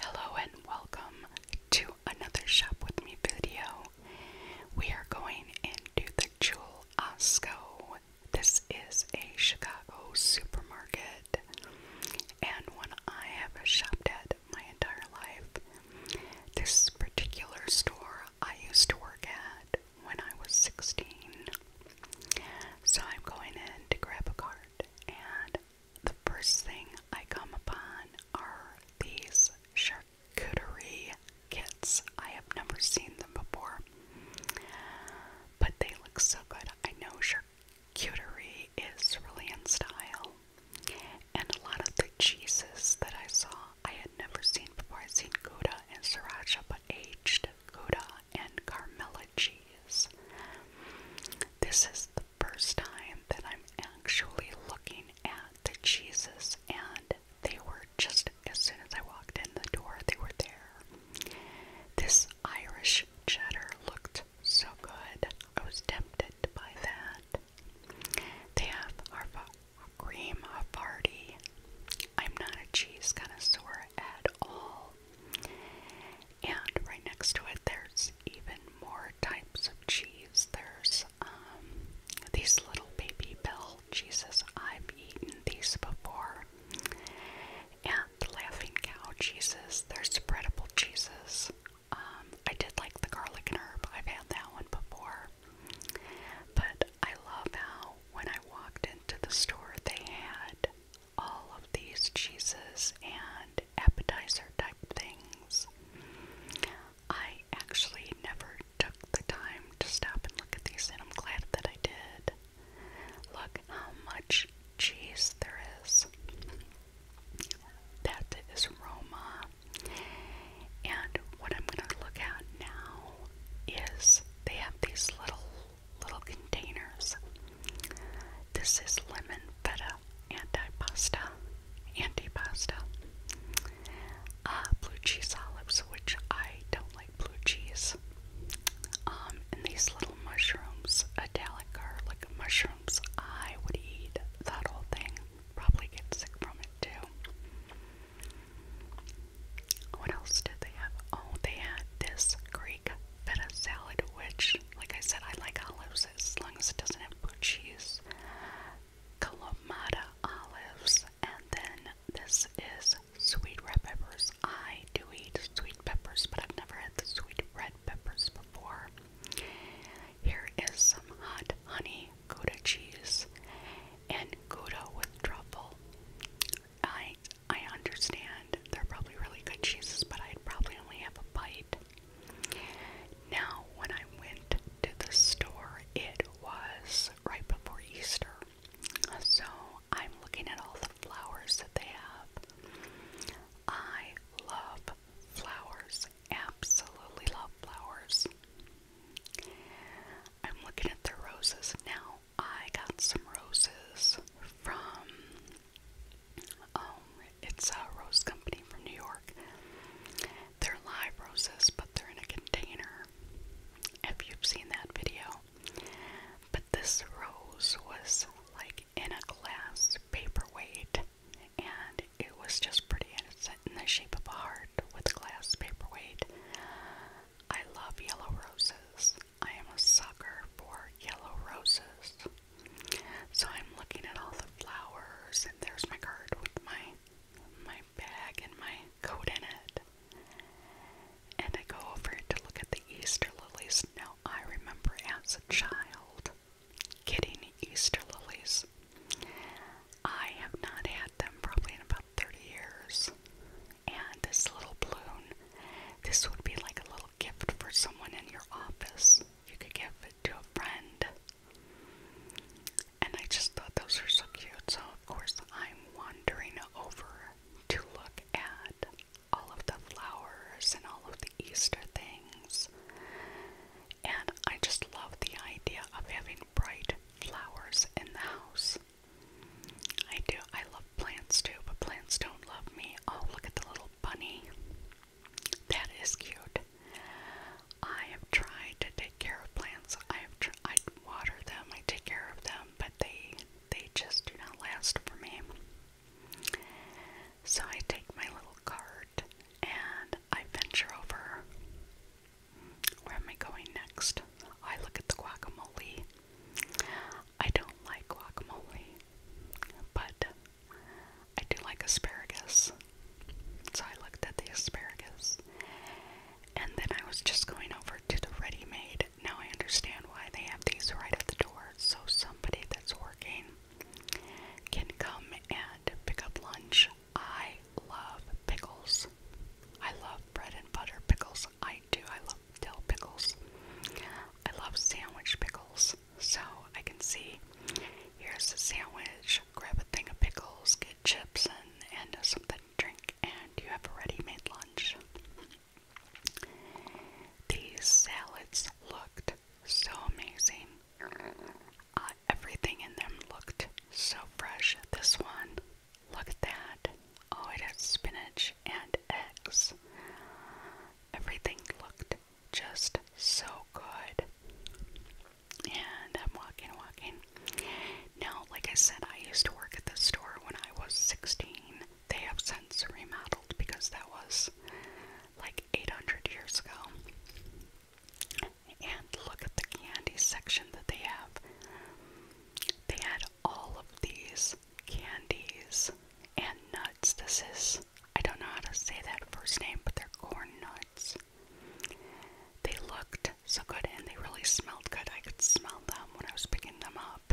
Hello and welcome to another Shop With Me video. We are going into the Jewel Osco. This is a Chicago supermarket and when I have shopped at my entire life. This particular store I used to work at when I was 16. So I'm going in to grab a cart and the first thing I come upon are these charcuterie kits. I have never seen them before, but they look so good. I know charcuterie is really in style, and a lot of the cheeses that I saw I had never seen before. i have seen Gouda and Sriracha, but aged Gouda and Carmella cheese. This is the first time that I'm actually looking at the cheeses, and they were just as soon as I walked in the door, they were there. This Irish cheddar looked so good, I was tempted by that. They have Harfa cream Havarti. I'm not a cheese connoisseur at all. And right next to it, there's even more types of cheese. There's um, these little baby bell cheeses. I've eaten these before. And the laughing cow cheeses. There's spreadable cheeses. Um, I did like the garlic and herb. I've had that one before. But I love how when I walked into the store, they had all of these cheeses and appetizer type things. I actually never took the time to stop and look at these, and I'm glad that I did. Look how much cheese there is. That is Roma. And what I'm going to look at now is they have these little little containers this is lemon feta antipasta, antipasta, uh, blue cheese olives, which I don't like blue cheese, um, and these little mushrooms, Italic garlic mushrooms. I would eat that whole thing. Probably get sick from it too. What else did they have? Oh, they had this green Greek salad, which, like I said, I like olives as long as it doesn't have blue cheese. Kalamata olives, and then this is sweet red peppers. I do eat sweet peppers, but I've never had the sweet red peppers before. Here is some hot honey Gouda cheese and Gouda with truffle. I I understand they're probably really good cheeses, but I'd probably only have a bite. Now, when I went to the store, it was right before Easter. So I'm looking at all the flowers that they have. I love flowers, absolutely love flowers. I'm looking at the roses now. I got some roses from um, it's a rose company from New York. They're live roses, but they're in a container. If you've seen that video. But this rose was like in a glass paperweight, and it was just pretty and it's in the shape of a heart with glass paperweight. I love yellow roses. I am a sucker for yellow roses. So I'm looking at all the flowers, and there's my card with my my bag and my coat in it. And I go over to look at the Easter lilies. Now I remember as a child getting Easter lilies. I have not had them probably in about 30 years. And this little balloon, this would be like a little gift for someone in your office you could give it to a friend. And I just thought those were so cute. So, of course, I'm wandering over to look at all of the flowers and all of the Easter things. And I just love the idea of having bright flowers in the house. I do. I love plants too, but plants don't love me. Oh, look at the little bunny. That is cute. I have tried to take care of plants. I have tr I water them. I take care of them, but they they just do not last for me. So I take my little cart and I venture over. Where am I going next? I look at the guacamole. I don't like guacamole, but I do like asparagus. So I looked at the asparagus. And then I was just going over to the ready made. Now I understand why they have these right at the door. So somebody that's working can come and pick up lunch. I love pickles. I love bread and butter pickles. I do. I love dill pickles. I love sandwich pickles. So I can see here's a sandwich, grab a thing of pickles, get chips and, and something to drink, and you have a ready made lunch. These salads looked so amazing. Uh, everything in them looked so fresh. This one, look at that. Oh, it has spinach and eggs. Everything looked just so good. And I'm walking, walking. Now, like I said, I used to work at the store when I was 16. They have since remodeled because that was like 800 years ago. And look at the candy section that they have. They had all of these candies and nuts. This is I don't know how to say that first name, but they're corn nuts. They looked so good and they really smelled good. I could smell them when I was picking them up.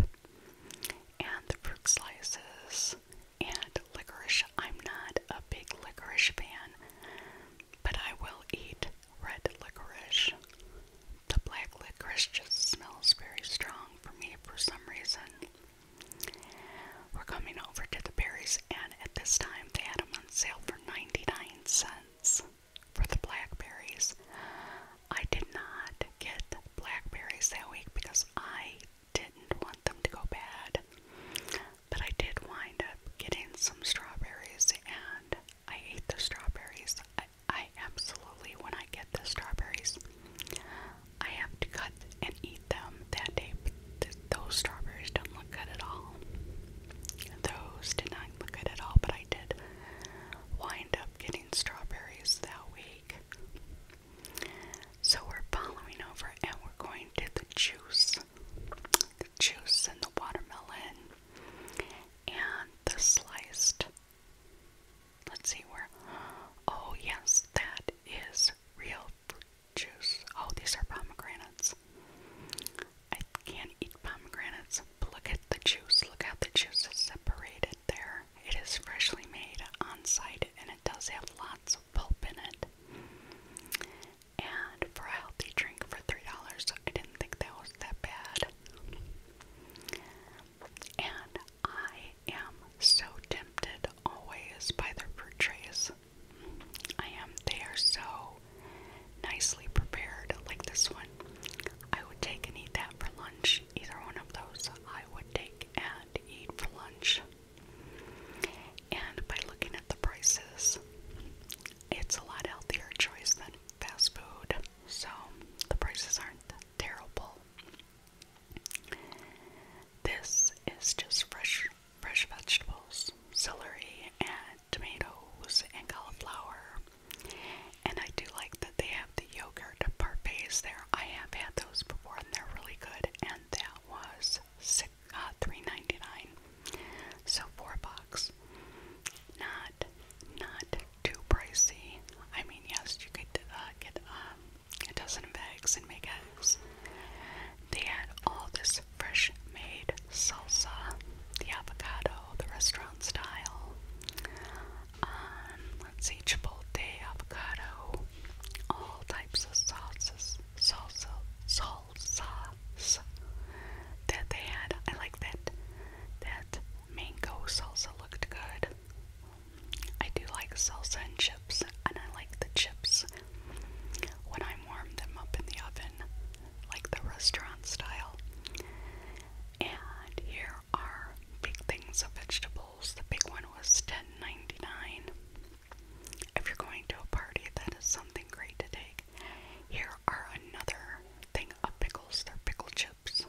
And the fruit slices and liquorice. I'm not a big liquorice fan, but I will eat red liquorice. The black liquorice just smells very strong for me for some reason. We're coming over to the berries, and at this time they had them on sale for 99 cents for the blackberries. I did not get blackberries that week because I didn't want them to go bad, but I did wind up getting some strawberries, and I ate the strawberries. I, I absolutely, when I get the strawberries, I have to cut and eat them that day, but those strawberries don't look good at all. Those did not look good at all, but I did wind up getting strawberries that week. So we're following over and we're going to the juice. The juice and the watermelon and the sliced. Let's see where. Oh, yes, that is real juice. Oh, these are pomegranates. I can't eat pomegranates, but look at the juice. Look how the juice is separated there. It is freshly made on site and it does have lots of pulp in it. And for a healthy drink for $3, I didn't think that was that bad. And I am so tempted always by their fruit I am, they are so nicely prepared, like this one. I would take and eat that for lunch. Either one of those I would take and eat for lunch. And by looking at the prices, it's a lot healthier choice than fast food. So the prices aren't terrible. This is just fresh fresh vegetables, celery and tomatoes and cauliflower. And I do like that they have the yogurt parfaits there. I have had those before and they're really good. And that was uh, three ninety-nine, So four bucks. Not not too pricey. I mean, yes, you could uh, get um, a dozen of eggs and make eggs. They had all this fresh made salsa, the avocado, the restaurant style. Um, let's see, avocado, all types of sauces, salsa, salsa. that they had. I liked that. That mango salsa looked good. I do like salsa and chips, and I like the chips when I warm them up in the oven, like the restaurant style. And here are big things of vegetables. The big one was $10.99. If you're going to a party, that is something great to take. Here are another thing of pickles. They're pickle chips.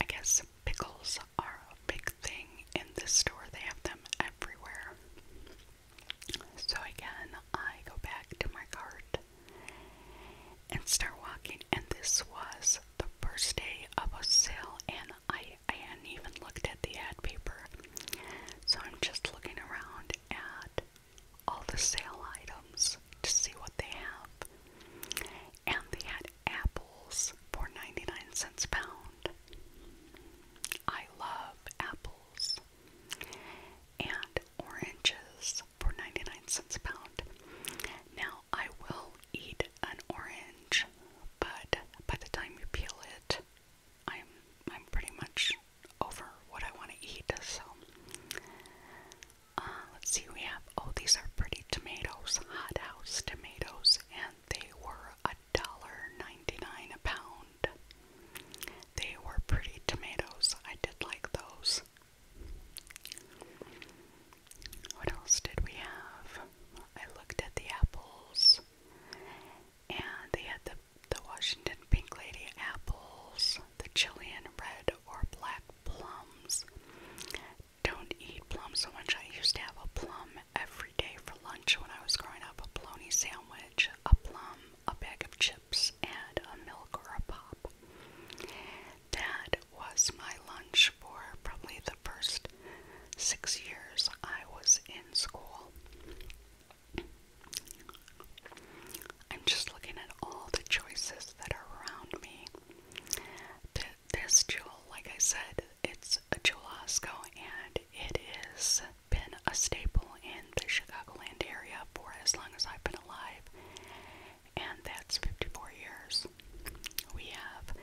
I guess pickles are a big big thing in this store. They have them everywhere. So again, I go back to my cart and start walking. And this was the first day of a sale, and I I hadn't even looked at the ad paper. So I'm just looking around at all the sale items to see what they have. And they had apples for 99 cents a pound. I love apples and oranges for 99 cents a pound. Now, I will eat an orange, but by the time you peel it, I'm I'm pretty much over what I want to eat. So, uh, let's see. We have oh, these are pretty tomatoes, hot house tomatoes, and they were a $1.99 a pound. They were pretty tomatoes. I did like those. What else did we have? I looked at the apples and they had the, the Washington Pink Lady apples, the Chilean red or black plums. Don't eat plums so much. I used to have a plum every day for lunch when I was growing up a bologna sandwich, a plum, a bag of chips, and a milk or a pop. That was my lunch for probably the first six years I was in school. I'm just looking at all the choices that are around me this jewel, like I said, it's a Jewel-Osco and it has been a staple in the Chicagoland area for as long as I've been alive, and that's 54 years. We have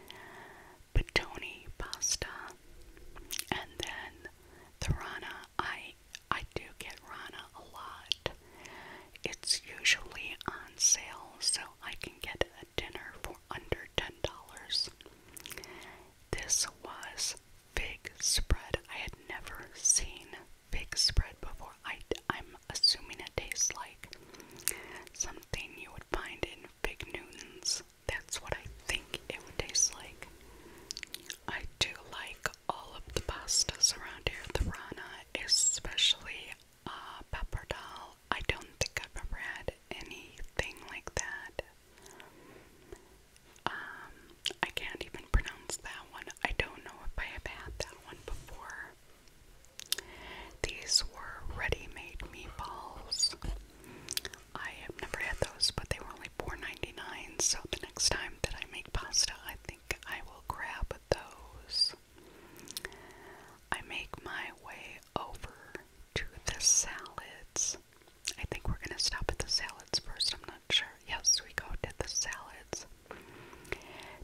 Patoni pasta, and then the Rana. I I do get Rana a lot. It's usually on sale, so I can get a dinner for under $10. This was fig spread. I had never seen fig spread before. I, I'm assuming it tastes like something you would find in Fig Newtons. That's what I think it would taste like. I do like all of the pastas around here. The Rana, especially uh, pappardelle I don't think I've ever had anything like that. Um, I can't even pronounce that one. I don't know if I have had that one before. These were ready-made meatballs. I have never had those, but they were only $4.99, so the next time that I make pasta, I think I will grab those. I make my way over to the salads. I think we're going to stop at the salads first. I'm not sure. Yes, we go to the salads.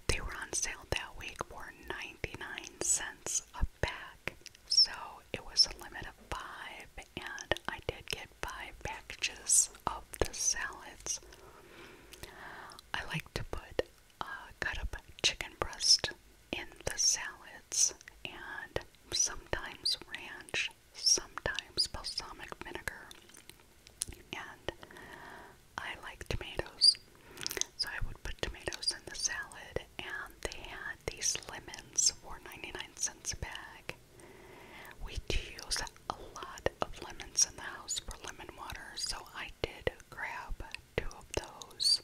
They were on sale that week for 99 cents a pack. So it was a limit of five, and I did get five packages of the salads. I like to put uh, cut up chicken breast in the salads and sometimes ranch, sometimes balsamic vinegar. And I like tomatoes. So I would put tomatoes in the salad and they had these lemons for 99 cents a bag. We use a lot of lemons in the house for lemon water, so I did grab two of those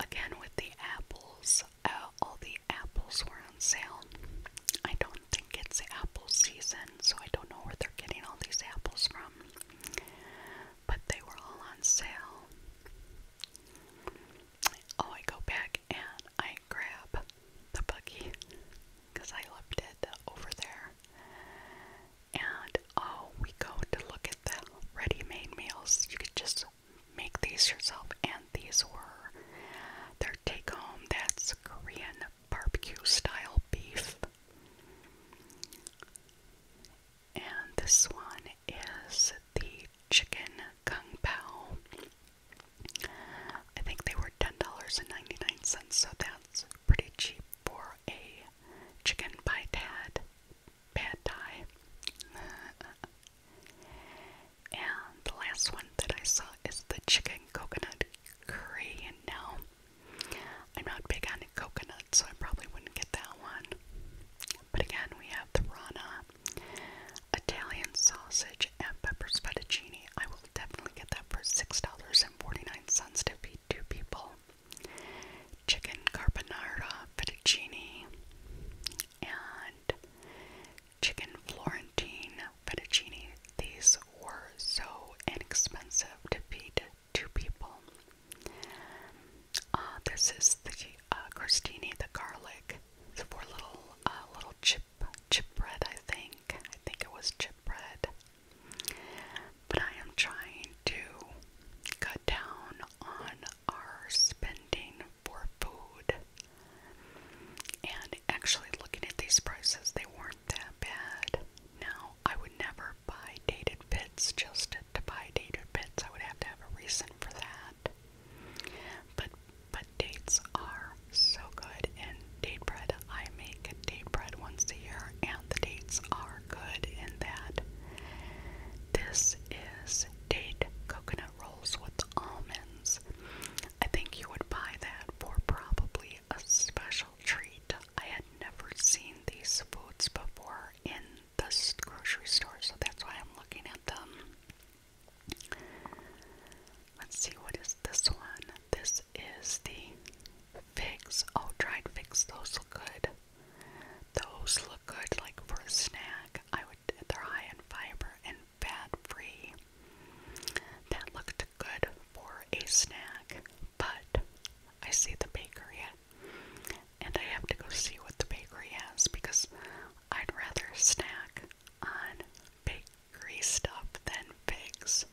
again with the apples, uh, all the apples were on sale. I don't think it's apple season, so I don't know where they're getting all these apples from. But they were all on sale. Oh, I go back and I grab the buggy because I left it over there. And oh, we go to look at the ready made meals. You could just make these yourself, and these were their take home. That's Korean barbecue style beef. And this one is the chicken kung pao. I think they were $10.99, so that's pretty cheap for a chicken by dad pad thai. and the last one that I saw is the chicken coconut curry. And now I'm not big on coconut, so I probably wouldn't get that one. But again, we have the Rana Italian sausage and peppers fettuccine. I will definitely get that for $6.49 to feed two people chicken carbonara, fettuccine, and chicken Florentine fettuccine. These were so inexpensive to feed two people. Uh, this is the uh, crostini, the garlic. It's for little, uh, little chip, chip bread. I think. I think it was chip bread. But I am trying to cut down on are spending for food. And actually, looking at these prices, they weren't that bad. Now, I would never buy dated bits just to buy dated bits. I would have to have a reason for that. But but dates are so good, and date bread. I make date bread once a year, and the dates are good in that. This is date coconut rolls with almonds. I think you would buy that for probably a special treat. I had never seen these foods before in the grocery store, so that's why I'm looking at them. Let's see, what is this one? This is the figs. Oh, dried figs, those look good. Those look good, like for a snack. I would fruit. They're high in fiber and fat free. That looked good for a snack, but I see the bakery and I have to go see what the bakery has because I'd rather snack on bakery stuff than figs.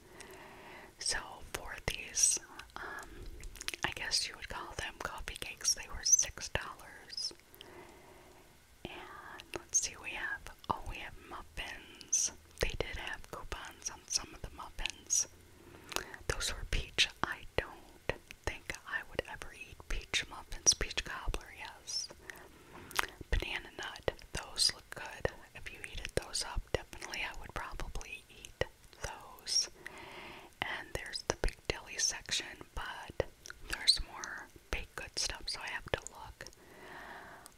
So for these, um, I guess you would call them coffee cakes, they were six dollars let's see, we have, oh, we have muffins. They did have coupons on some of the muffins. Those were peach. I don't think I would ever eat peach muffins. Peach cobbler, yes. Banana nut. Those look good. If you heated those up, definitely I would probably eat those. And there's the big deli section, but there's more baked good stuff, so I have to look.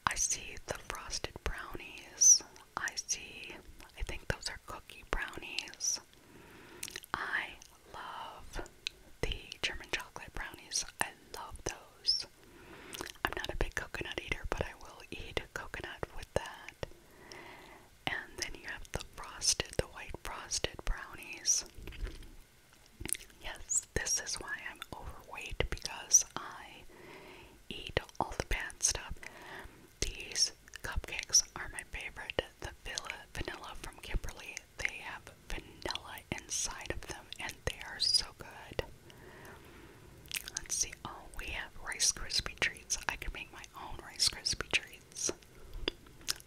I see the frosted brownies. I see, I think those are cookie brownies. I love the German chocolate brownies. I love those. I'm not a big coconut eater, but I will eat coconut with that. And then you have the frosted, the white frosted brownies. Yes, this is why I'm overweight because I eat all the bad stuff. These cupcakes are my favorite. The vanilla vanilla from Kimberly. They have vanilla inside of them and they are so good. Let's see. Oh, we have Rice Krispie treats. I can make my own Rice Krispie treats.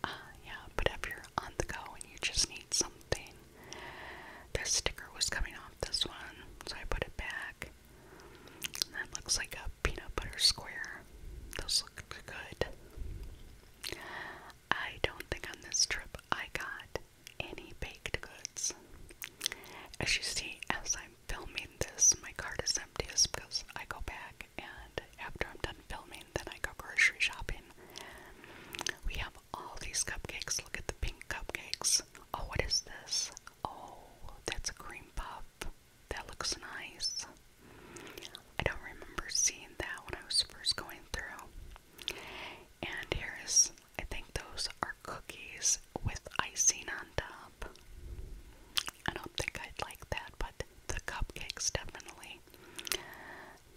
Uh, yeah, but if you're on the go and you just need something, this sticker was coming off this one, so I put it back. that looks like a peanut butter square. Those look good. I don't think on this trip I got any baked goods. As you see, as I'm filming this, my cart is empty because I go back and after I'm done filming, then I go grocery shopping. We have all these cupcakes. Look at the pink cupcakes. Oh, what is this? Oh, that's a cream puff. That looks nice. I don't remember seeing that when I was first going through. And here is, I think those are cookies with icing on top. I don't think I'd like that, but the cupcakes definitely.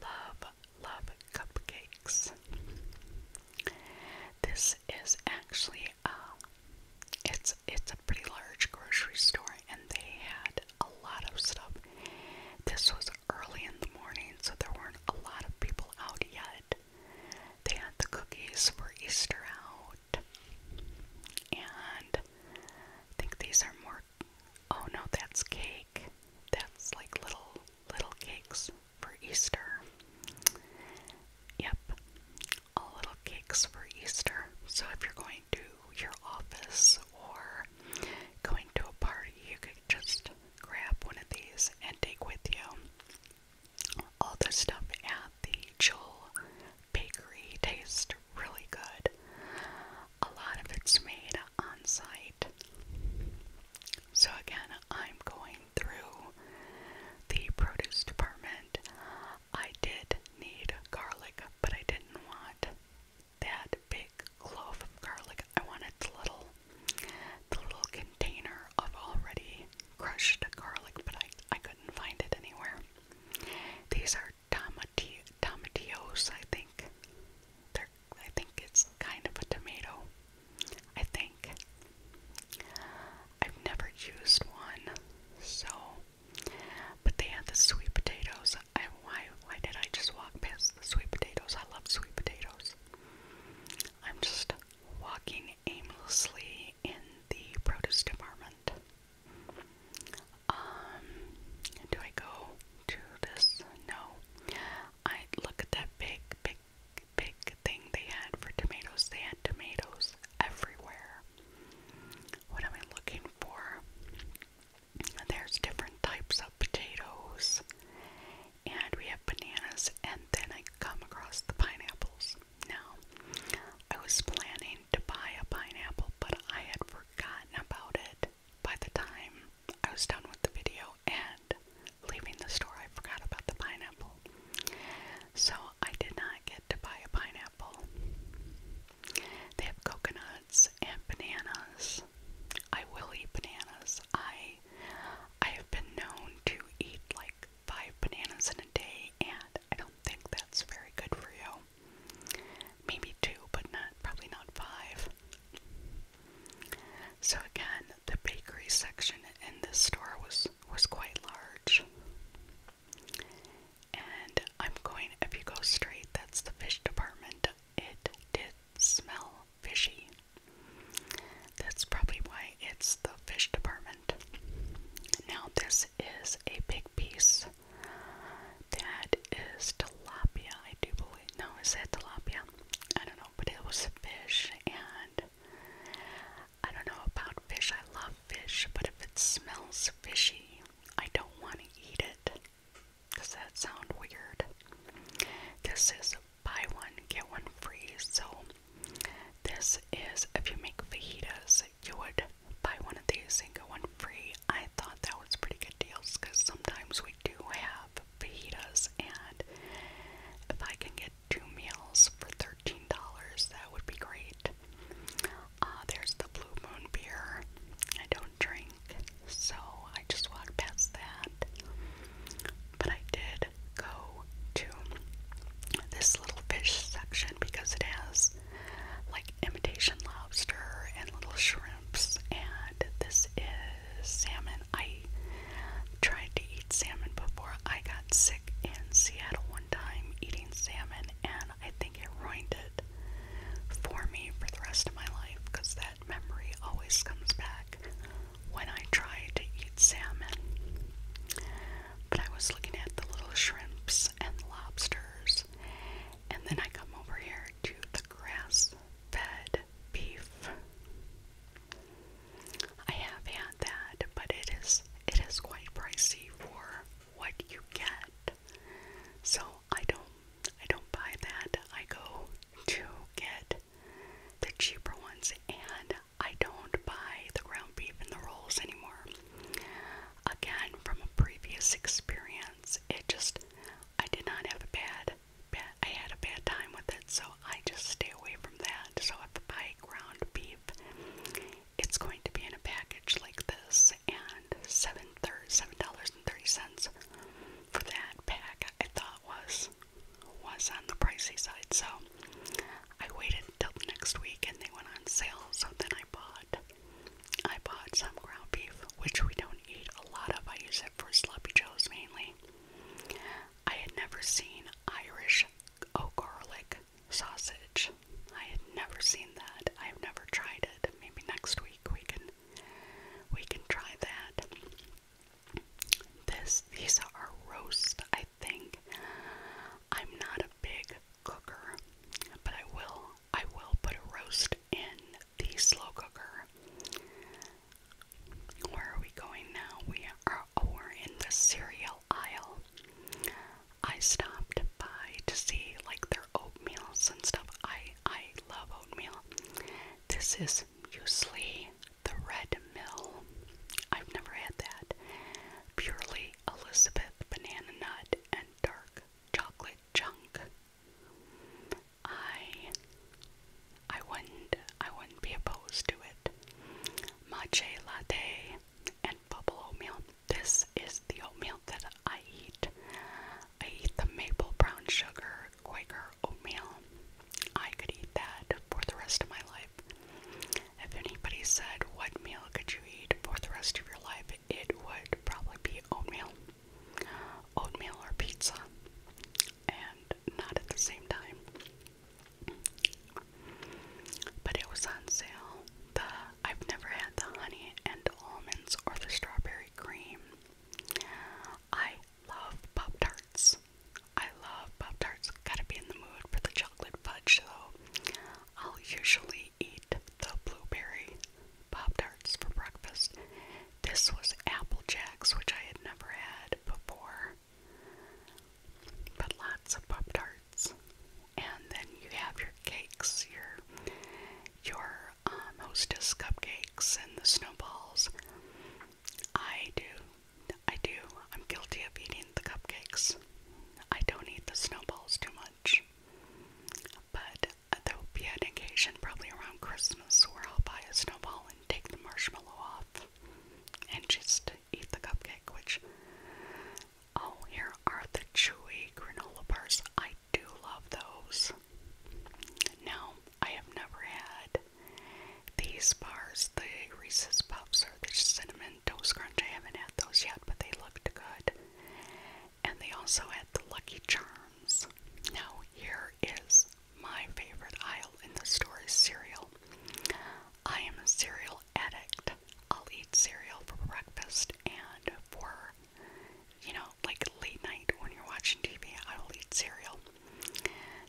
Love, love cupcakes. This is actually a um, it's it's a pretty large grocery store, and they had a lot of stuff. This was early in the morning, so there weren't a lot of people out yet. They had the cookies for Easter out, and I think these are more Oh no, that's cake. That's like little little cakes for Easter. Yep. All little cakes for Easter. So if you're going to your office or going to a party, you could just grab one of these and take with you all the stuff at the Joel Bakery Taste really good. A lot of it's made on site. So, again, I'm going through the produce department. I did need garlic, but I didn't want that big clove of garlic. I wanted the little, the little container of already crushed garlic, but I, I couldn't find it anywhere. These are tomati tomatoes, I think. They're, I think it's kind of a tomato. I think. I've never used one, so. But they had the sweet potatoes. I, why, why did I just walk past the sweet potatoes? I love sweet potatoes. I'm just walking aimlessly in the produce department. Um, do I go to this? No. I look at that big, big, big thing they had for tomatoes. They had tomatoes everywhere. What am I looking for? There's different types of potatoes, and we have bananas, and then I come across the pineapples. Now, I was planning to buy a pineapple, but I had forgotten about it by the time I was done with the video and leaving the store, I forgot about the pineapple. So I did not get to buy a pineapple. They have coconuts and bananas. I will eat bananas. I I have been known to eat like five bananas in a day and I don't think that's very good for you. Maybe two, but not probably not five. So again, the bakery section in this store was was quite large. And I'm going if you go straight, that's the fish department. It did smell fishy. That's probably why it's the fish department. Now, this is a big piece that is tilapia, I do believe. No, is that tilapia? I don't know, but it was fish, and I don't know about fish. I love fish, but if it smells fishy, I don't want to eat it. Does that sound weird? This is buy one, get one free. So, this is if you make fajitas, you would buy one of these and get one free. I I thought that was pretty good deals because sometimes we do have fajitas, and if I can get two meals for $13, that would be great. Uh, there's the Blue Moon beer. I don't drink, so I just walked past that. But I did go to this little fish section because it has like imitation lobster and little shrimps, and this is salmon. I tried to eat salmon before. I got sick in Seattle one time eating salmon, and I think it ruined it for me for the rest of my life because that memory always comes back when I try to eat salmon. But I was looking at the little shrimps and lobsters, and then I come over here to the grass fed beef. I have had that, but it is it is quite pricey for what you get. So I don't I don't buy that. I go to get the cheaper ones and I don't buy the ground beef and the rolls anymore. Again, from a previous experience, it just I did not have a bad, bad I had a bad time with it, so I just stay away from that. So if I ground beef, it's going to be in a package like this, and seven seven dollars and thirty cents for that pack. I thought was was on the pricey side, so I waited until next week, and they went on sale. So then I bought I bought some ground beef, which we don't eat a lot of. I use it for sloppy joes mainly. I had never seen Irish oh garlic sausage. I had never seen that. I have never tried it. Maybe next week we can we can try that. This these are roast, I think. I'm not a big cooker, but I will I will put a roast in the slow cooker. Where are we going now? We are oh, in the cereal aisle. I stopped by to see like their oatmeals and stuff. I I love oatmeal. This is muesli, the red mill. I've never had that. Purely Elizabeth banana nut and dark chocolate chunk. I I wouldn't I wouldn't be opposed to it. Matcha latte and bubble oatmeal. This is the oatmeal that I eat. I eat the maple brown sugar Quaker oatmeal. I could eat that for the rest of my life. If anybody said what meal could you eat for the rest of your life, it would probably be oatmeal oatmeal or pizza, and not at the same time. But it was on sale. The I've never had the honey and almonds or the strawberry cream. I love Pop Tarts. I love Pop Tarts. Gotta be in the mood for the chocolate fudge, though. I'll usually eat the blueberry Pop Tarts for breakfast. This was Apple Jacks, which I had never had before. But lots of Pop Tarts. And then you have your cakes, your your um, hostess cupcakes and the snowballs. I do. I do. I'm guilty of eating the cupcakes. I don't eat the snowballs too much. But there'll be an occasion, probably around Christmas, where I'll buy a snowball and take the marshmallow off and just eat the cupcake, which. Oh, here are the chewy granola bars. I do love those. Now, I have never had these bars, the Reese's Puffs or the Cinnamon Toast Crunch. I haven't had those yet, but they looked good and they also had the Lucky Charms. Now, here is my favorite aisle in the store cereal. I am a cereal addict. I'll eat cereal for breakfast and for, you know, like late night when you're watching TV, I will eat cereal.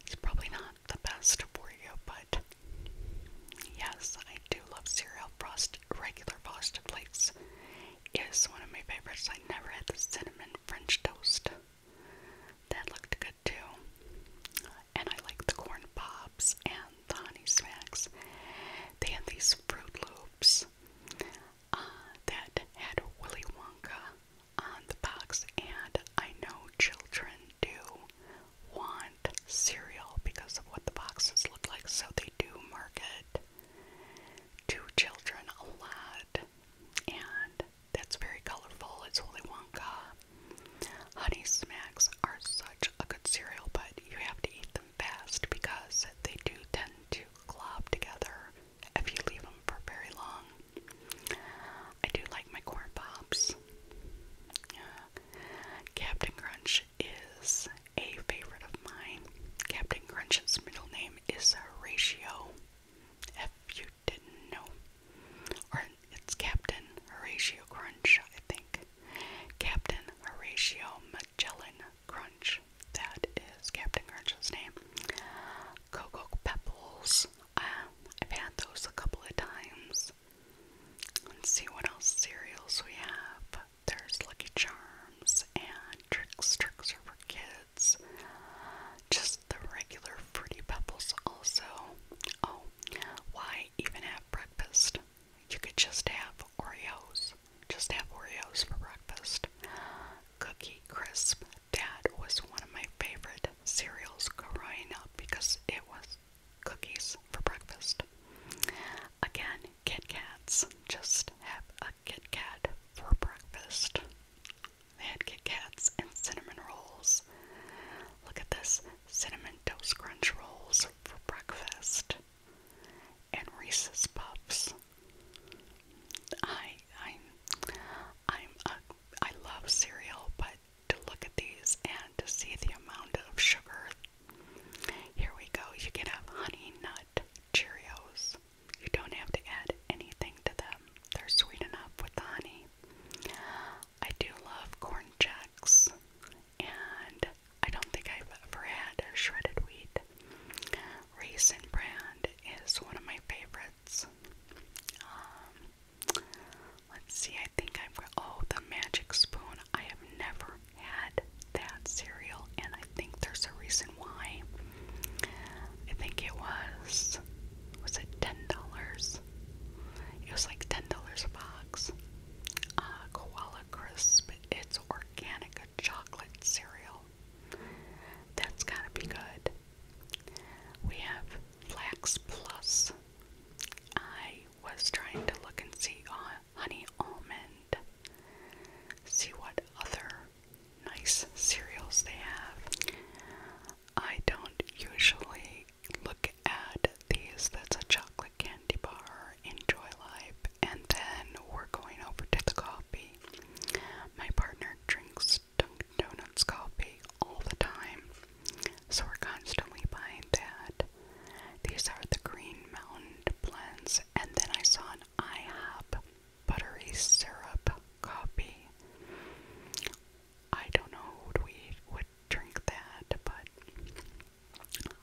It's probably not the best for you, but yes, I do love cereal. Frosted regular Boston plates is one of my favorites. I never had the cinnamon French toast. That looked good too. And I like the corn pops and the honey smacks. They had these Fruit Loops uh, that had Willy Wonka on the box, and I know children do want cereal because of what the boxes look like, so they do market two children, a lot, and that's very colorful. It's Willy Wonka. Honey Smacks are such a good cereal, but you have to eat them fast because they do tend to glob together if you leave them for very long. I do like my corn pops. Uh, Captain Crunch is a favorite of mine. Captain Crunch's middle name is Horatio. If you didn't know. it's Captain Horatio Crunch, I think. Captain Horatio Magellan Crunch. That is Captain Crunch's name. Cocoa Pebbles. Um, I've had those a couple of times. Let's see what else cereals we have there's Lucky Charms and Tricks, Tricks are for kids. Just the regular Fruity Pebbles also. Oh, why even have breakfast? You could just have Oreos. Just have Oreos for breakfast. Cookie Crisp. That was one of my favorite cereals growing up because it was cookies for breakfast. Again, Kit Kats. Just have Kit Kat for breakfast. They had Kit Kats and cinnamon rolls. Look at this cinnamon toast crunch rolls for breakfast. And Reese's Puffs. I I'm I'm a, i i am ai love cereal, but to look at these and to see the amount of sugar. Here we go. You can have honey nut Cheerios. You don't have to add anything to them, they're sweet enough with the honey. I do love corn checks, and I don't think I've ever had a shredded wheat. Raisin brand is one of my favorites. Um, let's see, I think I've got, oh, the magic spoon. I have never had that cereal, and I think there's a reason why. I think it was, was it $10? It was like $10 a box. Uh, Koala Crisp, it's organic chocolate cereal. That's gotta be good. We have Flax Plus. I was trying to look and see on honey almond. See what other nice cereals they have. I don't usually look at these. That's a chocolate candy bar, enjoy life, and then we're going over to the coffee. My partner drinks Dunkin' Donuts coffee all the time, so we're constantly buying that. These are the Green Mountain blends, and then I saw an IHOP buttery syrup coffee. I don't know we would drink that, but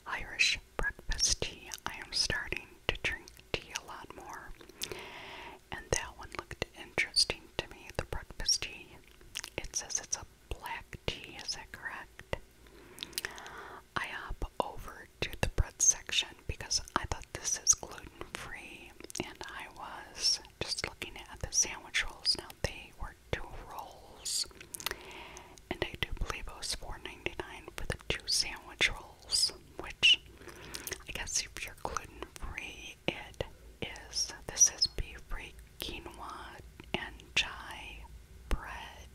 Irish breakfast tea. I am starting to drink tea a lot more, and that one looked interesting to me. The breakfast tea. It says it's a black tea. Is that correct? I hop over to the bread section because I thought this is gluten free, and I was just looking at the sandwich rolls. Now they were two rolls, and I do believe it was $4.99 for the two sandwich rolls, which I guess if you're gluten free, it is. This is beef free quinoa and chai bread.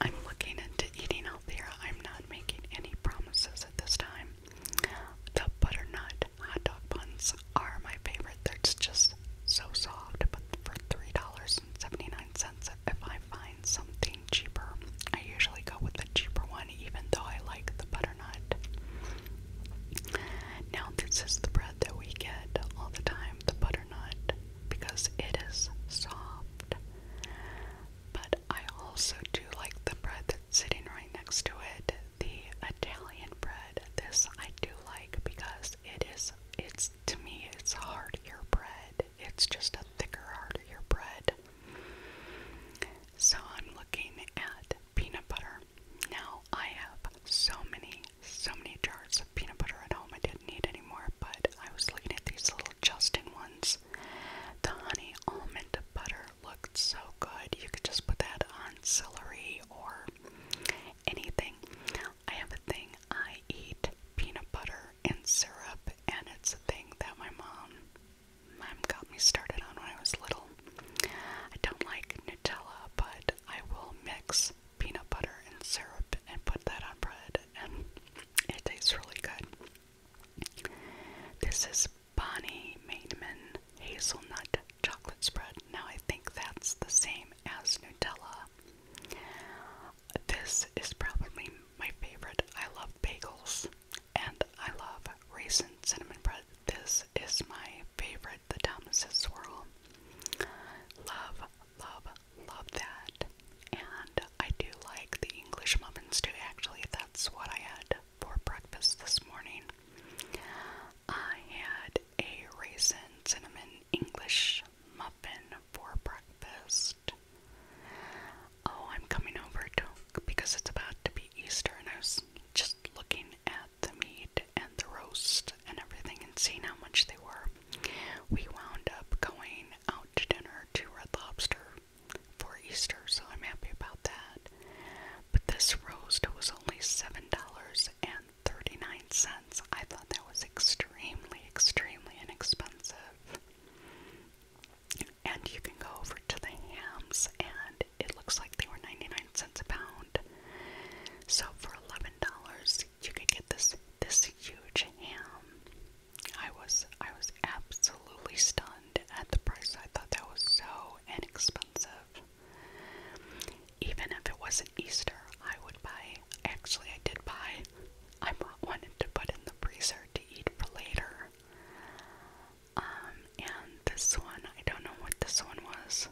I'm looking into eating healthier. I'm not making any promises at this time. The butternut hot dog buns are my favorite. They're just so soft, but for $3.79, if I find something cheaper, I usually go with the cheaper one, even though I like the butternut. Now, this is the bread that we get all the time the butternut because it is soft but I also do like the bread that's sitting right next to it, the Italian bread. This I do like because it is it's to me it's heartier bread. It's just a thicker, heartier bread. So I'm looking at peanut butter. Now I have so many, so many jars of peanut butter at home. I did need anymore, but I was looking at these little Justin ones. The honey almond butter looked so good. You could just put that on celery or anything. I have a thing I eat peanut butter and syrup, and it's a thing that my mom, mom got me started on when I was little. I don't like Nutella, but I will mix peanut butter and syrup and put that on bread, and it tastes really good. This is Bonnie Maidman Hazelnut Chocolate Spread. Now I think that's the same as Nutella. This is probably my favorite. I love bagels and I love raisin cinnamon bread. This is my favorite, the Thomas's Swirl. Love, love, Love that. And I do like the English muffins too. Actually, that's what I had for breakfast this morning. I had a raisin cinnamon English muffin for breakfast. Oh, I'm coming over to because it's about to be Easter, and I was just looking at the meat and the roast and everything and seeing how much they were. We wound up going out to dinner to Red Lobster for Easter, so I'm happy about that. But this roast was only $7.39. I thought that was extremely, extremely inexpensive. And you can go over to the hams, and it looks like they were 99 cents a pound. So for $11, you could get this this huge ham. I was I was absolutely stunned at the price. I thought that was so inexpensive. Even if it wasn't Easter, I would buy. Actually, I did buy. I wanted to put in the freezer to eat for later. Um, and this one, I don't know what this one was.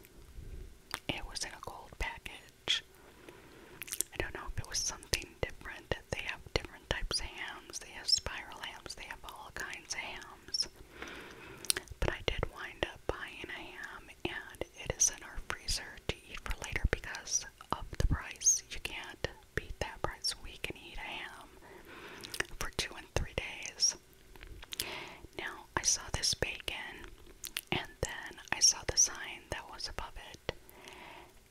It was in a gold package. I don't know if it was something different. That They have different types of hams. They have spiral hams. They have all kinds of hams. But I did wind up buying a ham, and it is in our freezer to eat for later because of the price. You can't beat that price. We can eat a ham for two and three days. Now, I saw this bacon, and then I saw the sign that was above it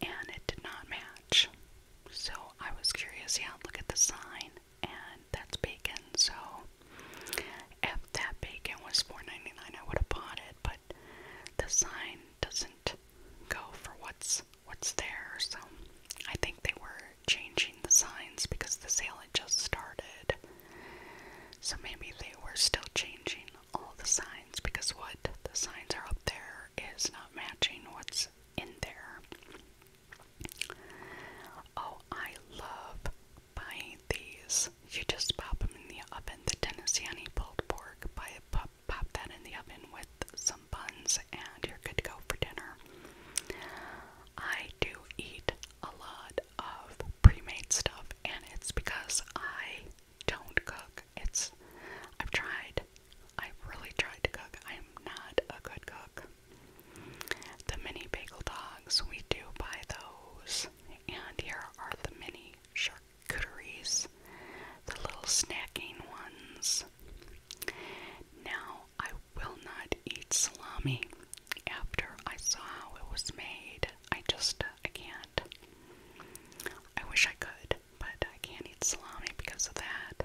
and it did not match. So I was curious, yeah, look at the sign, and that's bacon. So if that bacon was $4.99, I would have bought it, but the sign doesn't go for what's what's there. So I think they were changing the signs because the sale had just started. So maybe they were still changing all the signs because what the signs are up there is not matching what's in there. Oh, I love buying these. You just pop them in the oven. The Tennesseeani pulled pork. Buy it, pop, pop that in the oven with some buns, and you're good to go for dinner. I do eat a lot of pre-made stuff, and it's because I don't cook. It's I've tried. I've really tried to cook. I am not a good cook. The mini bagel dogs, we do buy those. And here are the mini charcuteries, the little snacking ones. Now I will not eat salami after I saw how it was made. I just I can't. I wish I could but I can't eat salami because of that.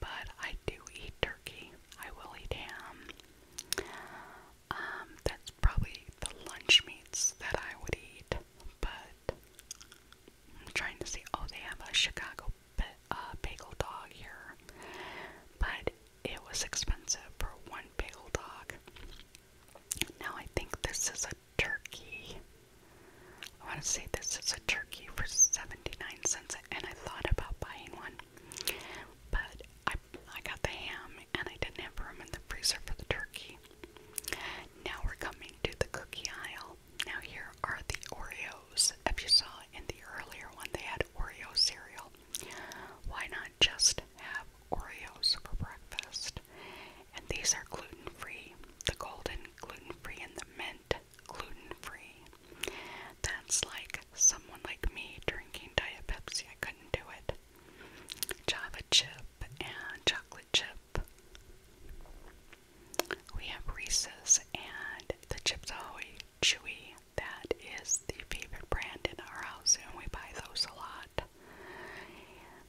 But I do eat turkey. I will eat ham. Um, that's probably the lunch meats that I would eat. But I'm trying to see. Oh, they have a Chicago uh, bagel dog here, but it was expensive for one bagel dog. Now I think this is a turkey. I want to say this is a turkey for 79 cents, and I thought about buying one, but I, I got the ham and I didn't have room in the freezer for the turkey. Now we're coming to the cookie aisle. Now, here are the Oreos. If you saw in the earlier one, they had Oreo cereal. Why not just have Oreos for breakfast? And these are gluten free. The golden gluten free, and the mint gluten free. That's like someone like me drinking Diet Pepsi. I couldn't do it. Java chip and chocolate chip. We have Reese's and the Chips Ahoy Chewy. That is the favorite brand in our house, and we buy those a lot.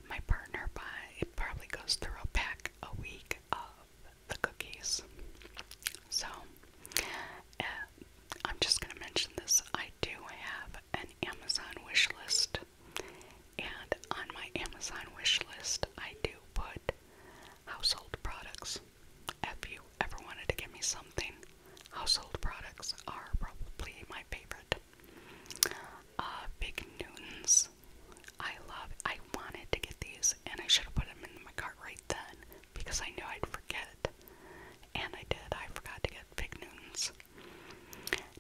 My partner buy it probably goes through a pack a week of the cookies. So uh, I'm just gonna mention this. I do have an Amazon wish list, and on my Amazon wish list, I do put household products. If you ever wanted to give me something, household products are probably my favorite. Uh, Big Newton's I love I wanted to get these and I should have put them in my cart right then because I knew I'd forget. And I did. I forgot to get Fig Newtons.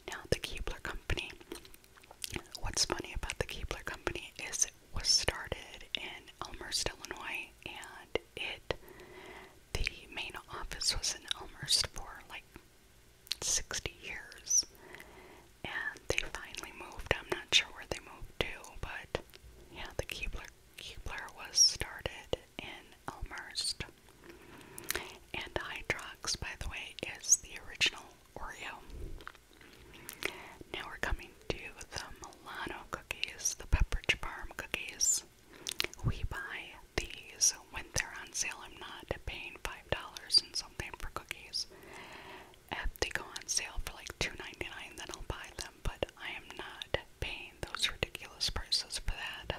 Now the Keebler Company. What's funny about the Keebler Company is it was started in Elmhurst, Illinois, and it the main office was in Elmhurst for like 60 years. And they finally moved. I'm not sure where they moved to, but yeah, the Keebler, Keebler was started in Elmerst. And Hydrox, by the way, is the original Oreo. Now we're coming to the Milano cookies, the Pepperidge Farm cookies. We buy these when they're on sale. I'm not paying 5 dollars and something for cookies. If they go on sale for like $2.99, then I'll buy them, but I am not paying those ridiculous prices for that.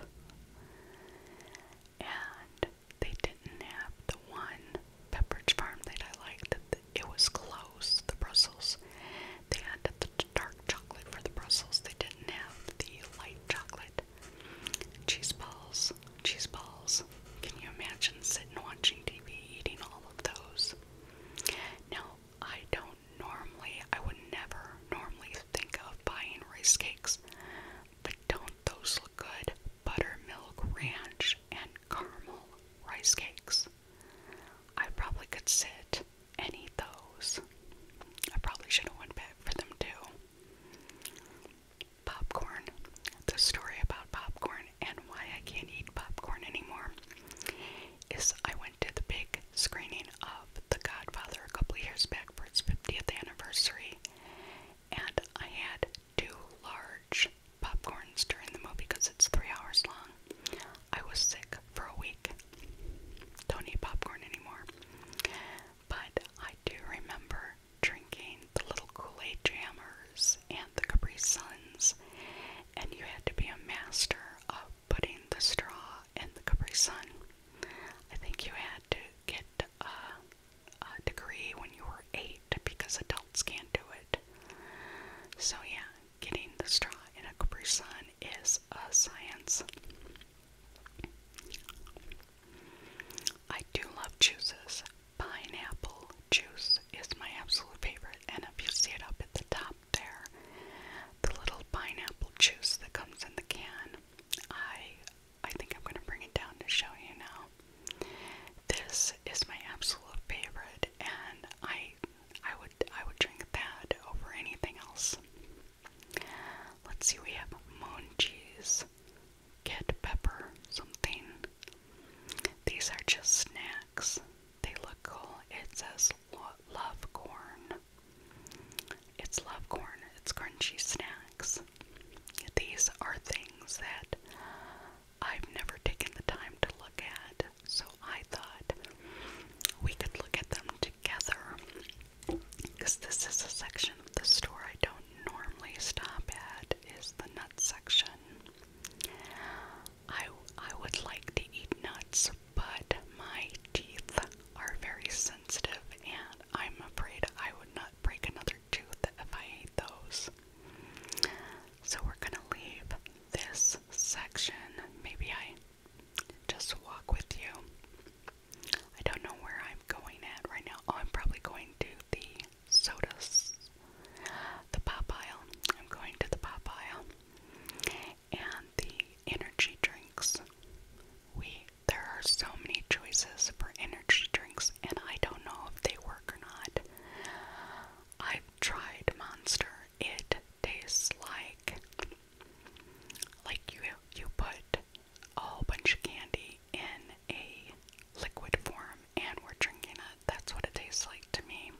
And they didn't have the one beverage farm that I liked. It was close, the Brussels. They had the dark chocolate for the Brussels. They didn't have the light chocolate. Cheese balls cheese balls. Can you imagine sitting watching TV eating all of those? Now, I don't normally, I would never normally think of buying rice cakes, but don't those look good? Buttermilk ranch and caramel rice cakes. I probably could sit and eat those. I probably should have went back for them too popcorn, the story about popcorn and why I can't eat popcorn anymore, is I went to the big screening of The Godfather a couple years back for its 50th anniversary, and I had two large popcorns during the movie because it's three hours long. I was sick for a week. Don't eat popcorn anymore. But I do remember drinking the little Kool-Aid jammers and the Capri Suns, and you had to be a master of putting the straw in the Capri Sun. I think you had to get a, degree when you were eight because adults can't do it. So yeah, getting the straw in a Capri Sun is a science. I do love juices pineapple juice is my absolute favorite, and if you see it up at the top there, the little pineapple juice that comes in the can, I I think I'm gonna bring it down to show you now. This is my absolute favorite, and I I would I would drink that over anything else. Let's see, we have moon cheese, get pepper something. These are just snacks. They look cool. It says love corn. It's love corn. It's crunchy snacks. These are things that I've never taken the time to look at, so I thought we could look at them together because this is a section of the store I don't normally stop at is the nut section. I I would like to eat nuts, but my teeth are very sensitive and I'm afraid I would not break another tooth if I ate those. So we're gonna leave this section. Maybe I just walk with you. I don't know where I'm going at right now. Oh, I'm probably going to the sodas. The pop aisle. I'm going to the pop aisle. And the energy drinks. We there are so many choices for energy drinks and I don't know if they work or not. I've tried Monster. It tastes like like you you put a whole bunch of candy in a liquid form and we're drinking it. That's what it tastes like to me.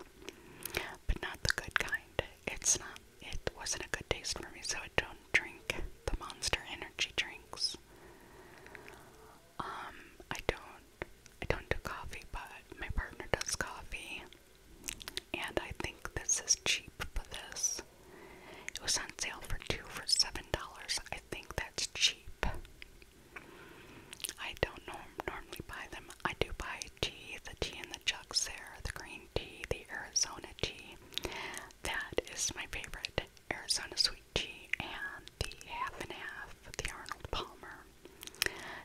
But not the good kind. It's not it wasn't a good taste for me, so I don't drink the monster energy drinks. Um, I don't I don't do coffee, but my partner does coffee. And I think this is cheap for this. It was on sale for two for seven dollars. I think that's cheap. I don't norm normally buy them. I do buy tea, the tea in the jug, there, the green tea, the Arizona tea. That is my favorite. Arizona sweet tea and the half and half, the Arnold Palmer.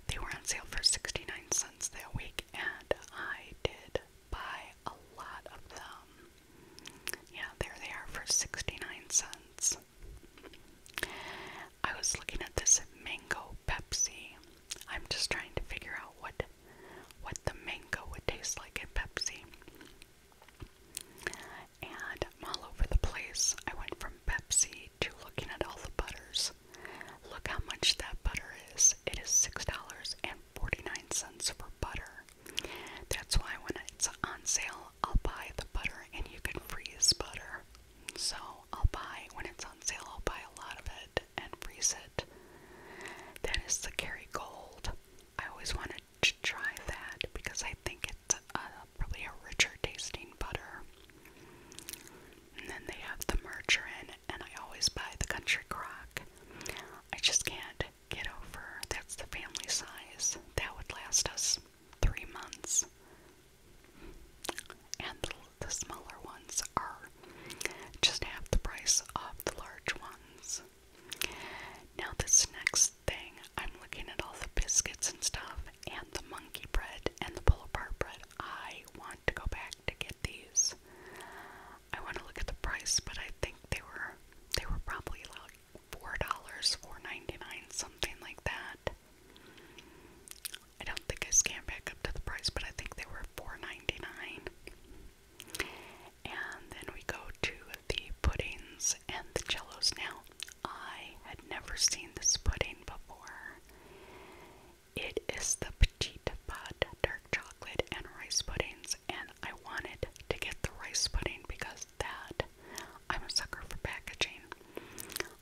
They were on sale for 69 cents that week, and I did buy a lot of them. Yeah, there they are for 69 cents. I was looking at this mango Pepsi. I'm just trying to figure out what what the mango would taste like in Pepsi. And I'm all over the place. I went from Pepsi to looking at all the butters. Look how much that butter is. It is six dollars and forty nine cents for butter. That's why when it's on sale I'll buy the butter and you can freeze butter. So I'll buy, when it's on sale, I'll buy a lot of it and freeze it. That is the Kerry Gold. I always wanted to try that because I think it's uh, probably a richer tasting butter. And then they have the margarine, and I always buy the Country Crock. I just can't get over that's the family size. That would last us three months. And the, smaller ones are just half the price of the large ones. Now, this next thing, I'm looking at all the biscuits and stuff, and the monkey bread and the pull apart bread. I want to go back to get these. I want to look at the price, but I think they were they were probably like four dollars, four ninety nine, something like that. I don't think I scanned back up to the price, but I think they were four ninety nine. And then we go to the puddings and the jellos. Now, I had never seen this pudding before. It is the petite pot dark chocolate and rice puddings, and I wanted to get the rice pudding because that I'm a sucker for packaging.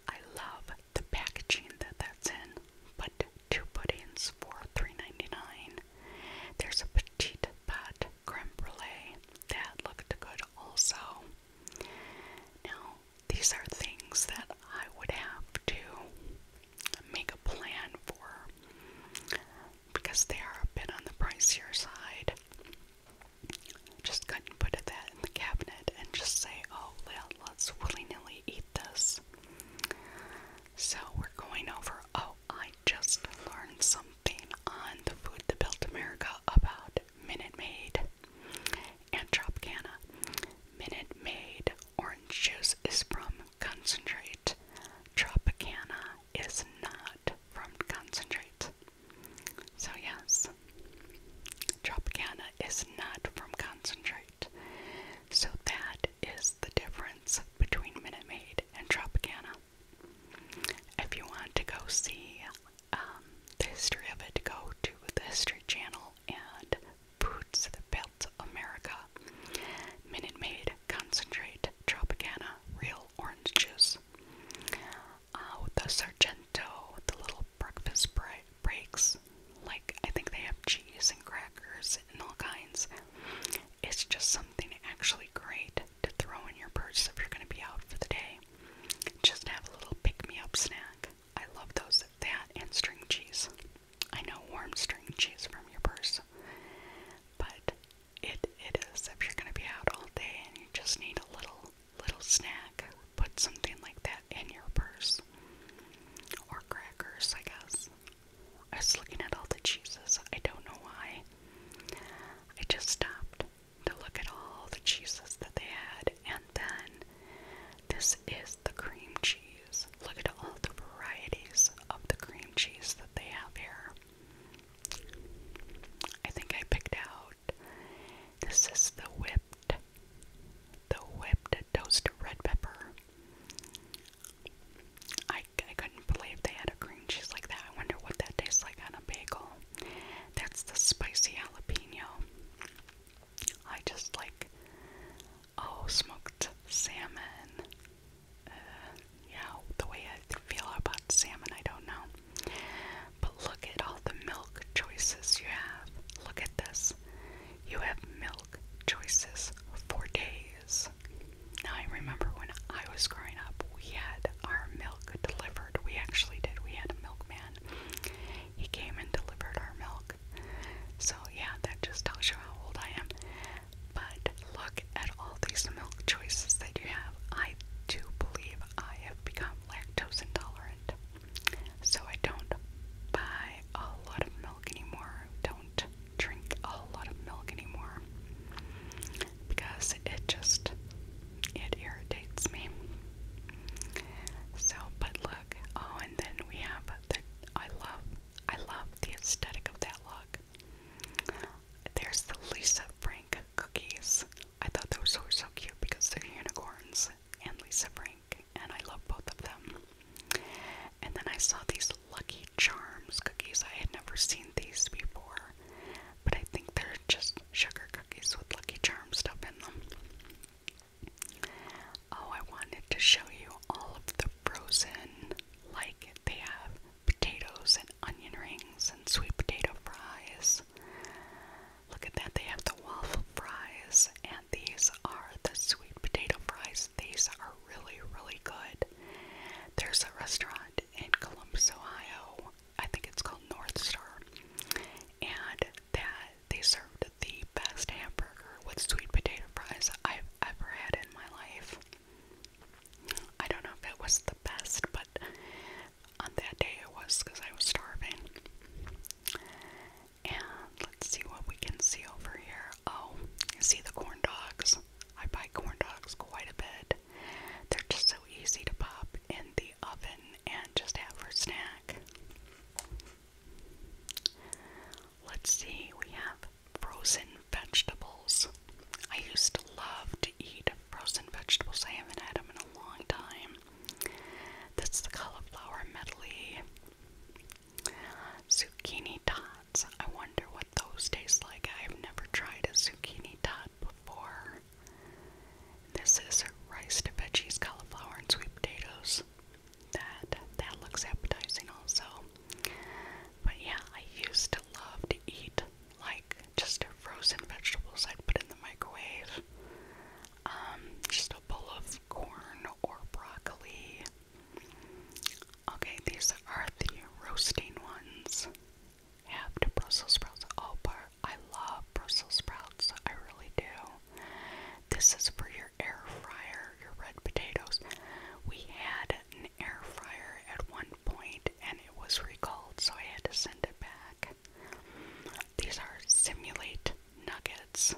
I love the packaging that that's in, but two puddings for three ninety nine. There's a petite pot creme brulee that looked good also. Now, these are things that I would have to make a plan for because they are a bit on the pricier side. Just couldn't put it that in the cabinet and just say, oh, let's willy nilly eat this. So we're going over, oh, I just learned something on the food that built America about Minute Maid and Tropicana. Minute Maid orange juice is from concentrate. Tropicana is not but from concentrates. So, yes, Tropicana is not from concentrate. So, that is the difference between Minute Maid and Tropicana. If you want to go see um, the history of it, go to the History Channel and Boots that Built America. Minute Maid Concentrate Tropicana Real Orange Juice uh, the Sargento, the little breakfast bre breaks. Like, I think they have cheese and crackers and all kinds. It's just something actually great to throw in your purse if you're going to be out for the day. Just have a little pick me up snack. I love those, that and string cheese. I know warm string cheese from your purse, but it it is if you're going to be out all day and you just need a little little snack. Put something like that in your purse. Or crackers, I guess. I was looking at all the cheeses. I don't know why. I just stopped to look at all the cheeses that they had. And then this is the cream cheese. Look at all the varieties of the cream cheese that they have here. I think I picked out this is the whipped, the whipped toasted red pepper. I, I couldn't believe they had a cream cheese like that. I wonder what that tastes like on a bagel. That's the spicy jalapeno. I just like, oh, smoked salmon. Uh, yeah, the way I feel about salmon, I don't know. But look at all the milk choices you have. Look at this. You have milk choices for days. Now, I remember when I was growing up, we had our milk delivered. We actually did. We had a milkman. He came and delivered our milk. So, yeah, that just tells you how old I am. But look at all these milk choices that you have. I do believe I have become lactose intolerant. So I don't buy a lot of milk anymore. Don't drink a lot of milk anymore. Because it just it irritates me. So but look, oh and then we have the I love I love the aesthetic of that look. There's the Lisa Frank cookies. I thought those were so cute because they're unicorns and Lisa Frank, and I love both of them. And then I saw these Lucky Charms cookies. I had never seen these before, but I think they're just sugar cookies with Lucky Charms stuff in them. Oh, I wanted to show you all of the frozen, like they have potatoes and onion rings and sweet potato fries. Look at that, they have the waffle fries, and these are the sweet potato fries. These are really, really good. There's a restaurant in Columbus, Ohio. I think it's called North Star. And that they served the best hamburger with sweet potato fries I've ever had in my life. I don't know if it was the best, but on that day it was because I was starving. And let's see what we can see over here. Oh, see the corn dogs? I buy corn dogs quite a bit. They're just so easy to pop in the oven and just have for snack. Let's see, we have frozen vegetables. I used to love to eat frozen vegetables. I haven't had them in a long time. That's the cauliflower medley. Zucchini tots. I wonder what those taste like. I've never tried a zucchini tot before. This is rice to veggies, cauliflower, and sweet potatoes. That that looks appetizing also. But yeah, I used to love to eat like just frozen vegetables i put in the microwave. Um, just a bowl of corn or broccoli. Okay, these are the roasting ones. Have Brussels sprouts all oh, part. I love Brussels sprouts. I really do. This is for your air fryer, your red potatoes. We had an air fryer at one point and it was recalled, so I had to send it back. These are Simulate Nuggets.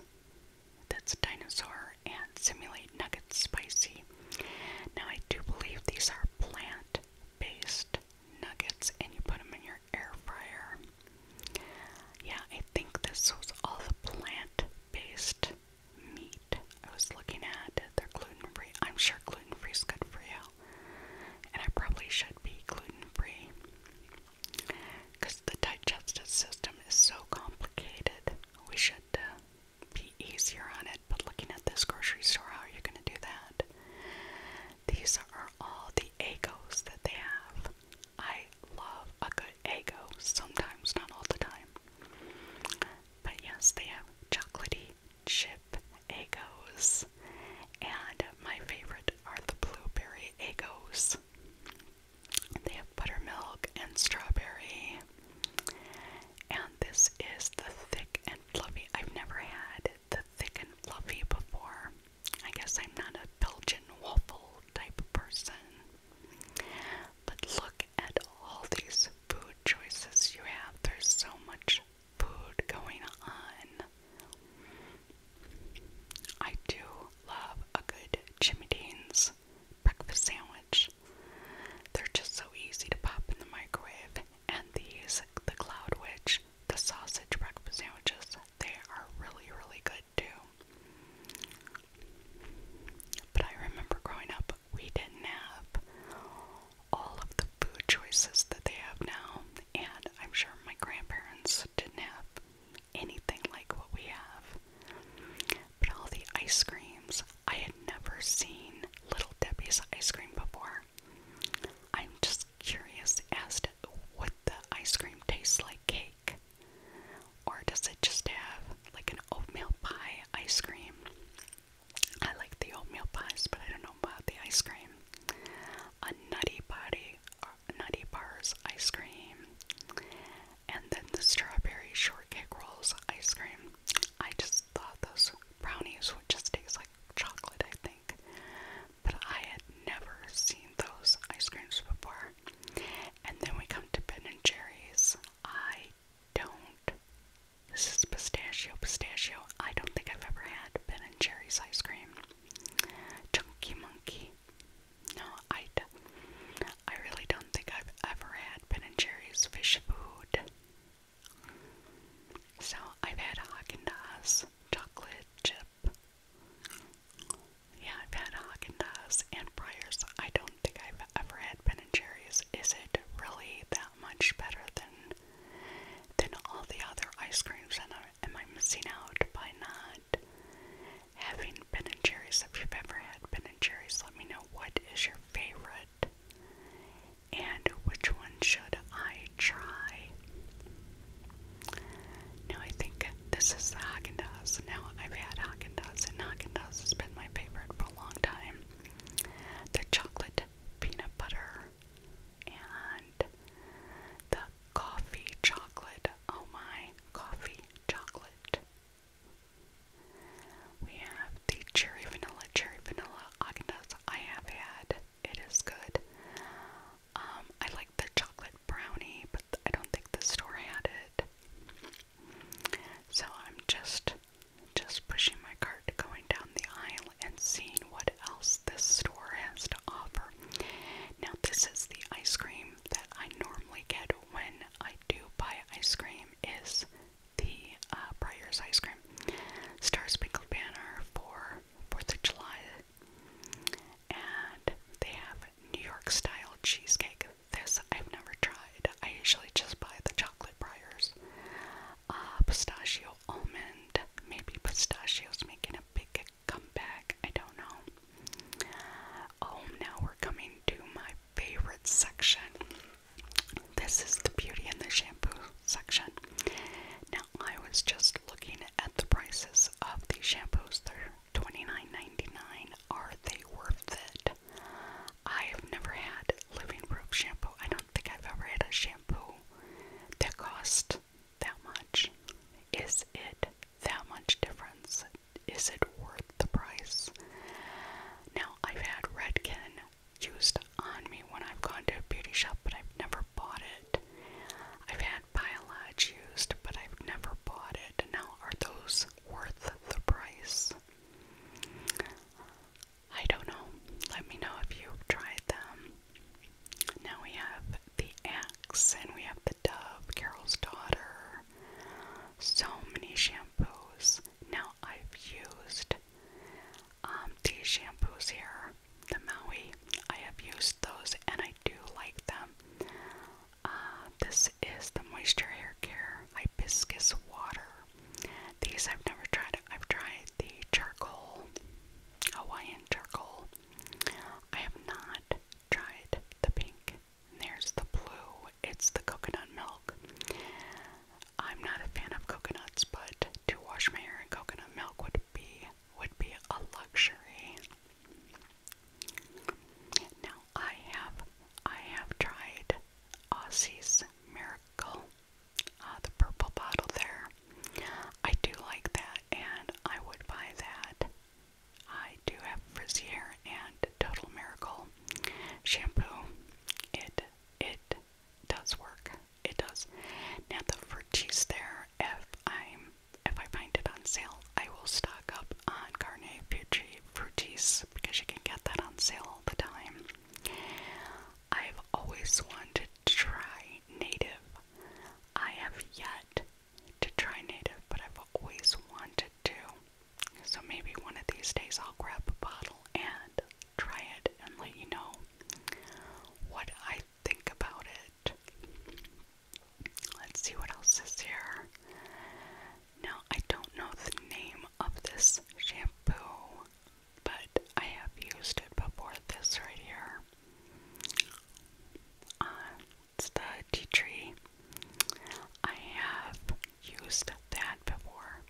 That's dinosaur and Simulate Nuggets Spicy. Now, I do believe these are plant based nuggets and you put them in your air fryer. Yeah, I think this was all the plant based meat I was looking at. They're gluten free. I'm sure gluten free is good for you and I probably should be gluten free because the digestive system is so complicated. We should uh, be easier on it, but looking at this grocery store, how are you going to do that? These are all the egos that they have. I love a good ego, sometimes, not all the time. But yes, they have chocolatey chips with And my favorite are the blueberry Egos. They have buttermilk and strawberry. And this is the thick and fluffy. I've never had the thick and fluffy before. I guess I'm not a Belgian waffle type person. But look at all these food choices you have. There's so much food going on. I do love a good Jimmy Dean's breakfast sandwich. They're just so easy to pop in the microwave, and these, the Cloud Witch, the sausage breakfast sandwiches, they are really, really good too. But I remember growing up, we didn't have all of the food choices that they have now, and I'm sure my grandparents didn't have anything like what we have. But all the ice creams, I had never seen Little Debbie's ice cream before. I'm just curious as to what the ice cream tastes like cake, or does it just have like an oatmeal pie ice cream? I like the oatmeal pies, but I don't know about the ice cream a nutty body, nutty bars ice cream, and then the strawberry shortcake rolls ice cream. I just thought those brownies would just taste like chocolate, I think, but I had never seen those ice creams before. And then we come to Ben and Jerry's. I don't. This is pistachio, pistachio. I don't think I've ever had Ben and Jerry's ice cream. Chunky Monkey. No, I, I really don't think I've ever had Ben and Jerry's fish food. So I've had Haagen Dazs chocolate chip. Yeah, I've had Haagen Dazs and Breyers. I don't think I've ever had Ben and Jerry's. Is it really that much better than than all the other ice creams, and I, am I missing out by not having Ben and Jerry's? If you ever had Ben and Jerry's, let me know what is your favorite and which one should I try. Now I think this is the Haagen Dazs. Now I've had Haagen Dazs, and Haagen Dazs has been my favorite for a long time. The chocolate peanut butter and the coffee chocolate. Oh my, coffee chocolate. We have the cherry vanilla, cherry vanilla Agendas. I have had. It is good. Um, I like the chocolate brownie, but I don't think the store had it. So I'm just just pushing my cart, going down the aisle and seeing what else this store has to offer. Now, this is the ice cream that I normally get when I do buy ice cream is the uh, Breyer's ice cream. Star spangled Banner for 4th of July. And they have New York style cheesecake. This I've never tried. I usually just buy the chocolate Breyers. Uh, pistachio almond maybe pistachios making a big comeback. I don't know. Oh, now we're coming to my favorite section. This is the beauty and the shampoo section. Now, I was just looking at the prices of the shampoos. They're Are they worth it? I have never had living proof shampoo. I don't think I've ever had a shampoo that cost that much? Is it that much difference? Is it worth the price? Now, I've had Redken used on me when I've gone to a beauty shop, but I've never bought it. I've had Biolage used, but I've never bought it. Now, are those worth the price? I don't know. Let me know if you tried them. Now we have the axe and we have the dove, Carol's daughter. So many shampoos. Now I've used um, these shampoos here, the Maui. I have used those and I do like them. Uh, this is the Moisture Hair Care Hibiscus Water. These I've never tried. I've tried the charcoal, Hawaiian charcoal. I have not tried the pink. There's the blue. It's the coconut milk. I'm not a fan of coconuts, but to wash my hair in coconut milk would be would be a luxury. Now I have I have tried Aussie's Miracle uh, the purple bottle there. I do like that, and I would buy that. I do have Frizier and Total Miracle shampoo. It it does work. It does. Now the Vertice there, if I'm if I find it on sale, I will stock up on Carnet Fuji Fruities because you can get that on sale all the time. I've always wanted to try native. I have yet to try native, but I've always wanted to. So maybe one of these days I'll grab a bottle and try it and let you know what I think about it. Let's see what else is here. Now, I don't know the name of this shampoo but I have used it before this right here. Uh, it's the tea tree. I have used that before,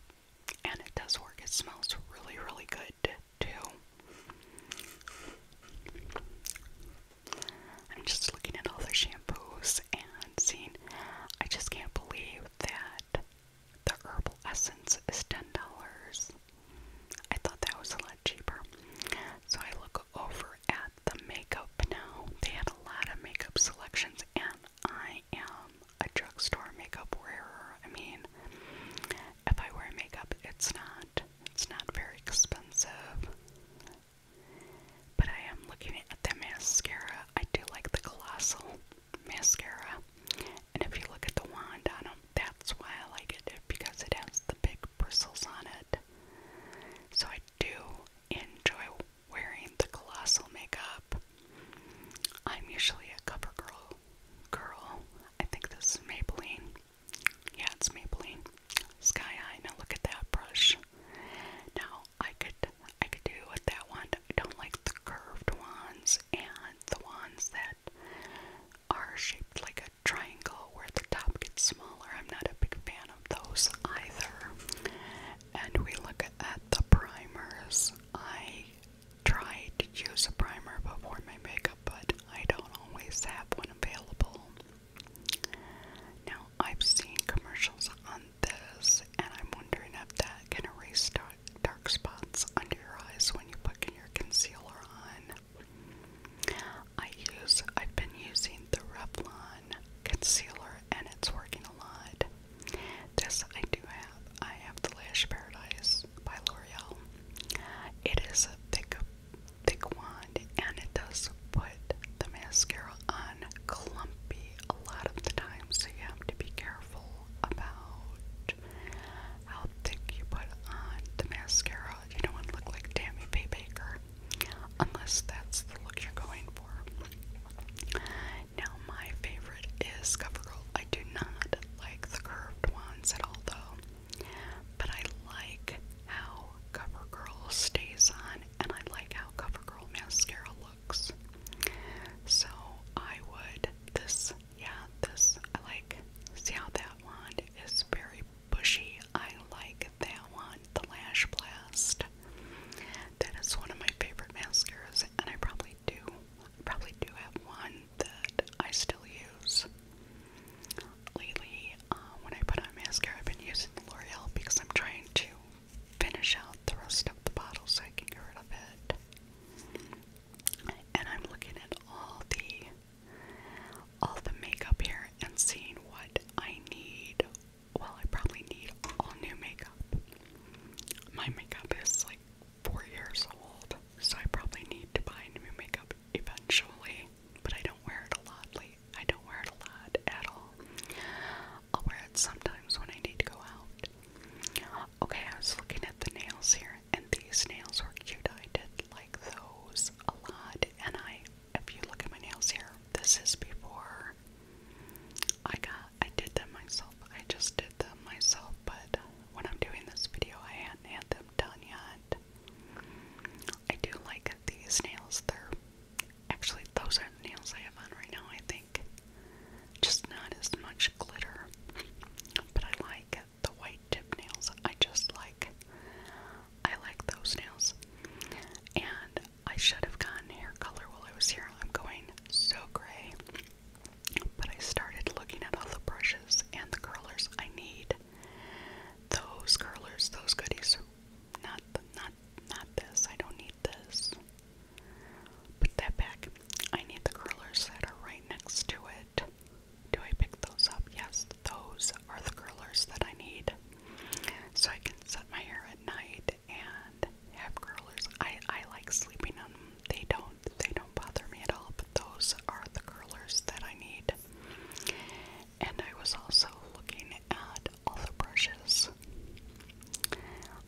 and it does work. It smells really, really good too. I'm just looking at all the shampoos and seeing. I just can't believe that the herbal essence is ten dollars. I thought that was a lot cheaper. So I look over at the makeup now. They had a lot of makeup selections, and I am a drugstore makeup wearer. I mean, if I wear makeup, it's not it's not very expensive. But I am looking at the mascara. I do like the colossal mascara. And if you look at the wand on them, that's why I like it because it has the big bristles on it. So I do enjoy wearing the colossal makeup. I'm usually a cover girl girl. I think this is Maybelline. Yeah, it's Maybelline. Sky High. Now look at that brush. Now I could I could do with that one. I don't like the curved ones and the ones that are shaped like a triangle where the top gets smaller. I'm not a big fan of those either. And we look at the primers. I try to use a primer before my makeup, but I don't always have one available. Now, I've seen commercials on this, and I'm wondering if that can erase dark spots under your eyes when you put your concealer on. I use I've been using the Revlon concealer and it's working a lot. This I do have. I have the Lash Paradise by L'Oreal. It is a thick thick wand and it does put the mascara on clumpy a lot of the time so you have to be careful about how thick you put on the mascara. You don't look like Tammy Faye Baker, unless that's the look you're going for. Now, my favorite is CoverGirl. I do not like the curved ones at all, though, but I like how CoverGirl stays on, and I like how CoverGirl mascara looks. So I would this yeah, this, I like, see how that wand is very bushy. I like that one, the Lash Blast. That is one of my favorite mascaras, and I probably do, probably do have one that I still use. Lately, uh, when I put on mascara, I've been using the L'Oreal because I'm trying to finish out the rest of the bottle so I can get rid of it. And I'm looking at all the all the makeup here and seeing what I need. Well, I probably need all new makeup. My makeup is like four years old, so I probably need to buy new makeup eventually, but I don't wear it a lot I don't wear it a lot at all. I'll wear it sometimes when I need to go out. Okay, I was looking at the nails here and these nails are cute. I did like those a lot. And I, if you look at my nails here, this is before I got, I did them myself. I just did them myself, but when I'm doing this video, I hadn't had them done yet. I do like these nails. They're actually, those are the nails I have on right now, I think. Just not as much glitter, but I like the white tip nails. I just like I like those nails. And I should have gotten hair color while I was here. I'm going so gray. But I started looking at all the brushes and the curlers I need. Those curlers, those goodies. Not the, not not this. I don't need this. Put that back. I need the curlers that are right next to it. Do I pick those up? Yes, those are the curlers that I need. So I can set my hair at night and have curlers. I, I like sleeping on them. They don't they don't bother me at all, but those are the curlers that I need. And I was also looking at all the brushes.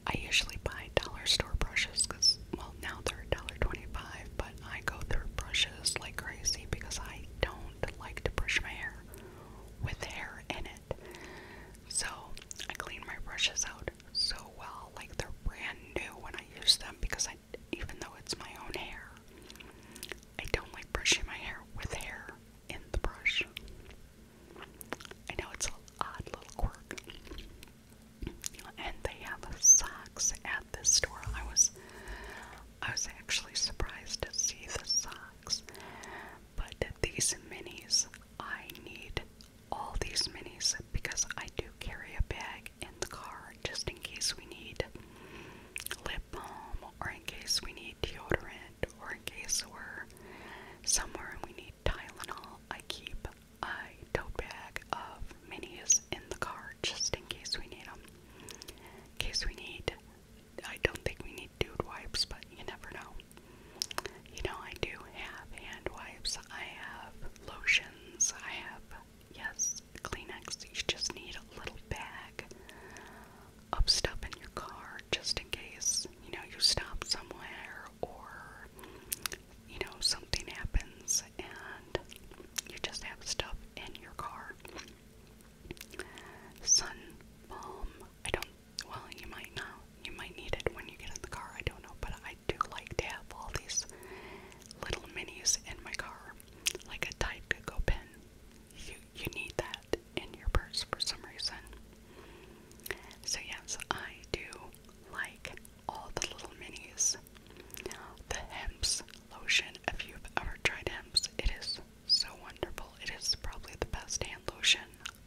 I usually buy dollar store brushes because well now they're $1.25 but I go through brushes like crazy because I don't like to brush my hair with hair in it. So I clean my brushes out so well, like they're brand new when I use them because I, even though it's my own hair, I don't like brushing my hair with hair in the brush. I know it's an odd little quirk and they have socks at this store. I was I was actually surprised to see the socks. But these minis, I need all these minis because I do carry a bag in the car just in case we need lip balm or in case we need deodorant or in case we're somewhere and we need Tylenol. I keep a tote bag of minis in the car just in case we need them. In case we need, I don't think we need dude wipes, but you never know. You know, I do have hand wipes, I have lotions, I have, yes, Kleenex. You just need a little bag of stuff in your car just in case, you know, you stop somewhere or, you know, something happens and you just have stuff in your car. Sun balm. I don't. Well, you might not. You might need it when you get in the car. I don't know, but I do like to have all these little minis in my car, like a Tide Go pen. You you need that in your purse for some reason. So yes, I do like all the little minis. The hemp's lotion, if you've ever tried hemp's, it is so wonderful. It is probably the best hand lotion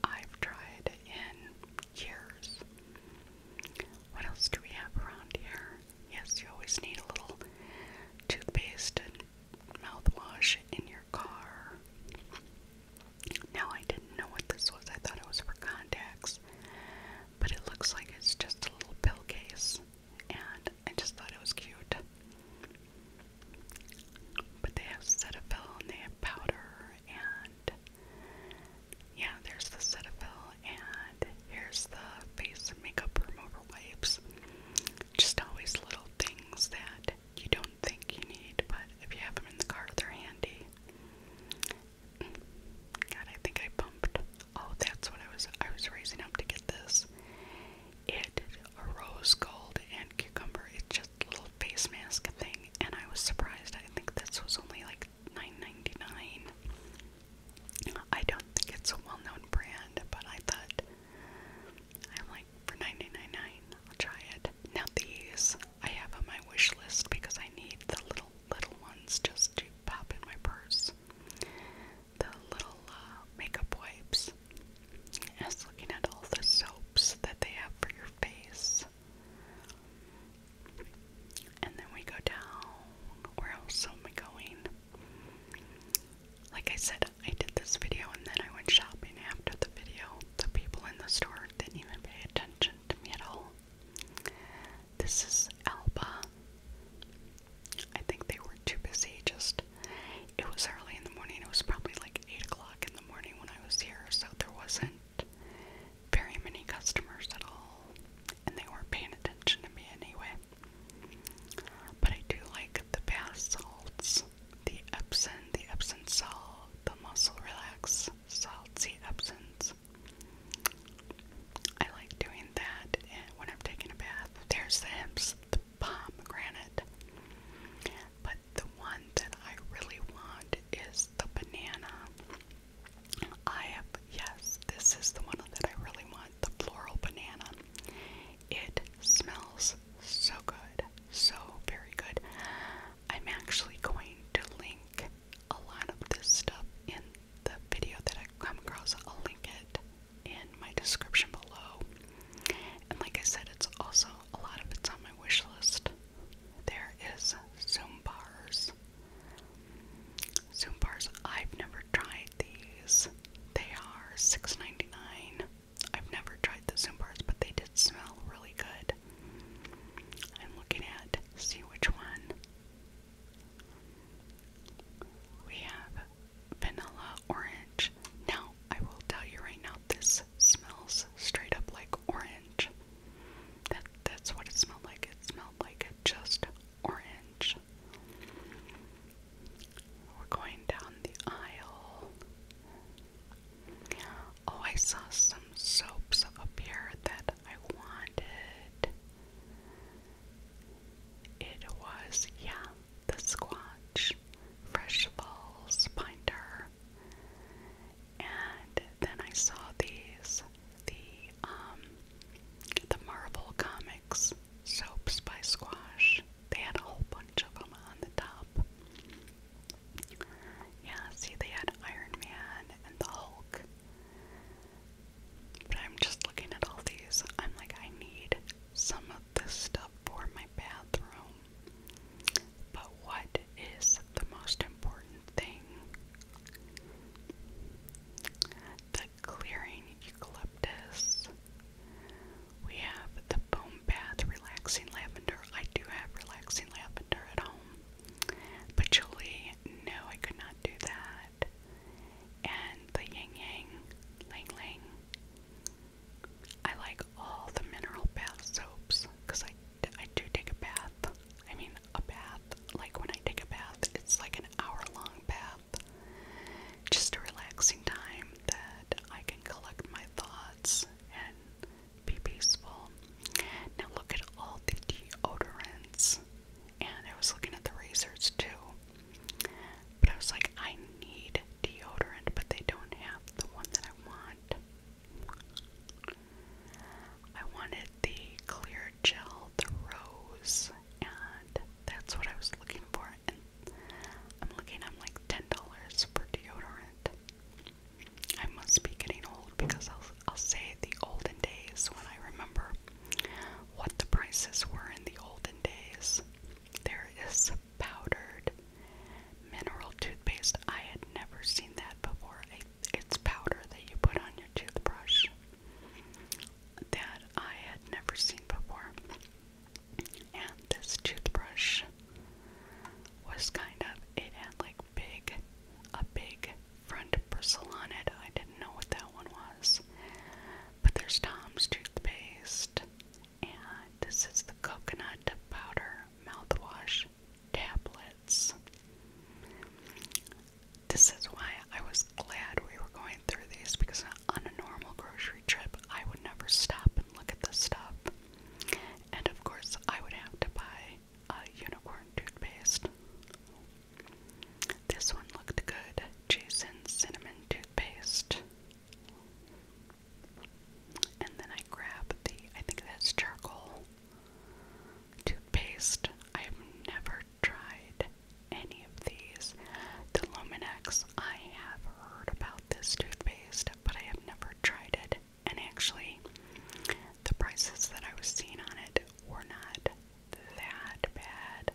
I've tried in years. What else do we have around here? Yes, you always need a little toothpaste and mouthwash in your car. Now, I didn't know what this was, I thought it was for contacts, but it looks like it's just a little pill case and I just thought it was cute. But they have Cetaphil they have powder, and yeah, there's the Cetaphil, and here's the face makeup remover wipes. Just always little things that you don't think you need, but if you have them in the car, they're handy. God, I think I bumped. Oh, that's what I was. I was raising up to get this. It a rose gold and cucumber. It's just a little face mask thing, and I was surprised. I think this was only like $9.99. I don't think it's a well-known brand, but I thought I'm like for $9.99, I'll try it. Now these I have on my wish list because I need the little little ones just to pop in my purse the little uh, makeup wipes. I looking at all the soaps that they have for your face. And then we go down. Where else am I going? Like I said, I did this video and then I went shopping after the video. The people in the store didn't even pay attention to me at all. This is Alba. I think they were too busy, just it was early in the morning. It was probably like 8 o'clock in the morning when I was here, so there wasn't very many customers at all, and they weren't paying attention to me anyway. But I do like the bath salts, the Epsom, the Epsom salt, the muscle relax salts, the Epsom's I like doing that when I'm taking a bath. There's the hemp's the pomegranate. But the one that I really want is the banana. I have, yes, this is the one that I really want the floral banana. It smells so good, so very good. I'm actually going to link a lot of this stuff in the video that I come across, I'll link it in my description below. And like I said, it's also a lot of it's on my wish list. There is Zoom bars. Zoom bars, I've never tried these. They are $6.99. I've never tried the Zoom bars, but they did smell really good. I'm looking at see which one we have vanilla orange. Now, I will tell you right now, this smells straight up like orange. That that's what it smelled like. It smelled like just orange. We're going down the aisle. Oh, I saw some soaps up here that I wanted. It was, yeah, the squash, Fresh Falls Binder. And then I saw these, the um the Marvel Comics soaps by Squash. They had a whole bunch of them on the top. Yeah, see, they had Iron Man and the Hulk. But I'm just looking at all these. I'm like, I need some of this stuff for my bathroom. But what is the most important thing? The clearing eucalyptus. We have the foam bath relaxing lavender. I do have relaxing lavender at home. But Julie, no, I could not do that. And the yin yang, lang lang. I like all the mineral bath soaps because I, I do take a bath. I mean, a bath. Like when I take a bath, it's like an hour long bath. Just a relaxing time that I can collect my thoughts and be peaceful. Now, look at all the deodorants and I was looking at the razors too. But I was like, I need deodorant, but they don't have the one that I want. I wanted the clear gel, the rose, and that's what I was looking for. And I'm looking, I'm like $10 for deodorant. I must be getting old because I'll, I'll say the olden days when I remember what the prices were in the olden days. There is powdered mineral toothpaste. I had never seen that before. It's powder that you put on your toothbrush that I had never seen before. And this toothbrush was kind of, it had like big, a big front Persilonid. I didn't know what that one was. But there's Tom's toothpaste. And this is the coconut powder mouthwash tablets. This is why I was glad we were going through these because on a normal grocery trip, I would never stop and look at this stuff. And of course, I would have to buy a unicorn toothpaste. This one looked good. Jason cinnamon toothpaste. And then I grab the I think that's charcoal toothpaste. I have never tried any of these. The Luminex, I have heard about this toothpaste, but I have never tried it. And actually, the prices that I was seeing on it were not that bad.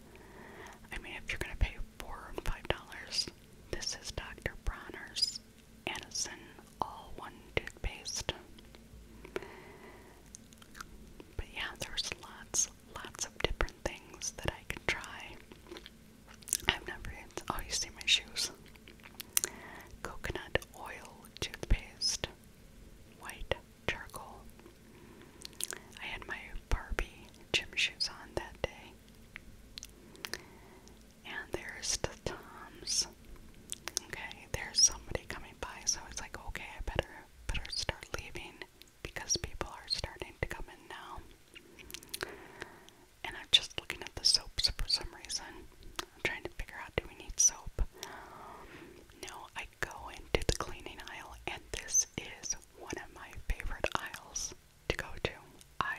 I mean, if you're gonna pay four and five dollars, this is Dr. Bronner's Anison All One Toothpaste. But yeah, there's lots, lots of different things that I could try. I've never used, oh, you see my shoes. Coconut oil toothpaste. White charcoal. I had my Barbie gym shoes on that day. And there's the Toms. Okay, there's somebody coming by, so it's like, okay, I better better start leaving because people are starting to come in now. And I'm just looking at the soaps for some reason. I'm trying to figure out do we need soap? No, I I go into the cleaning aisle, and this is one of my favorite aisles to go to. I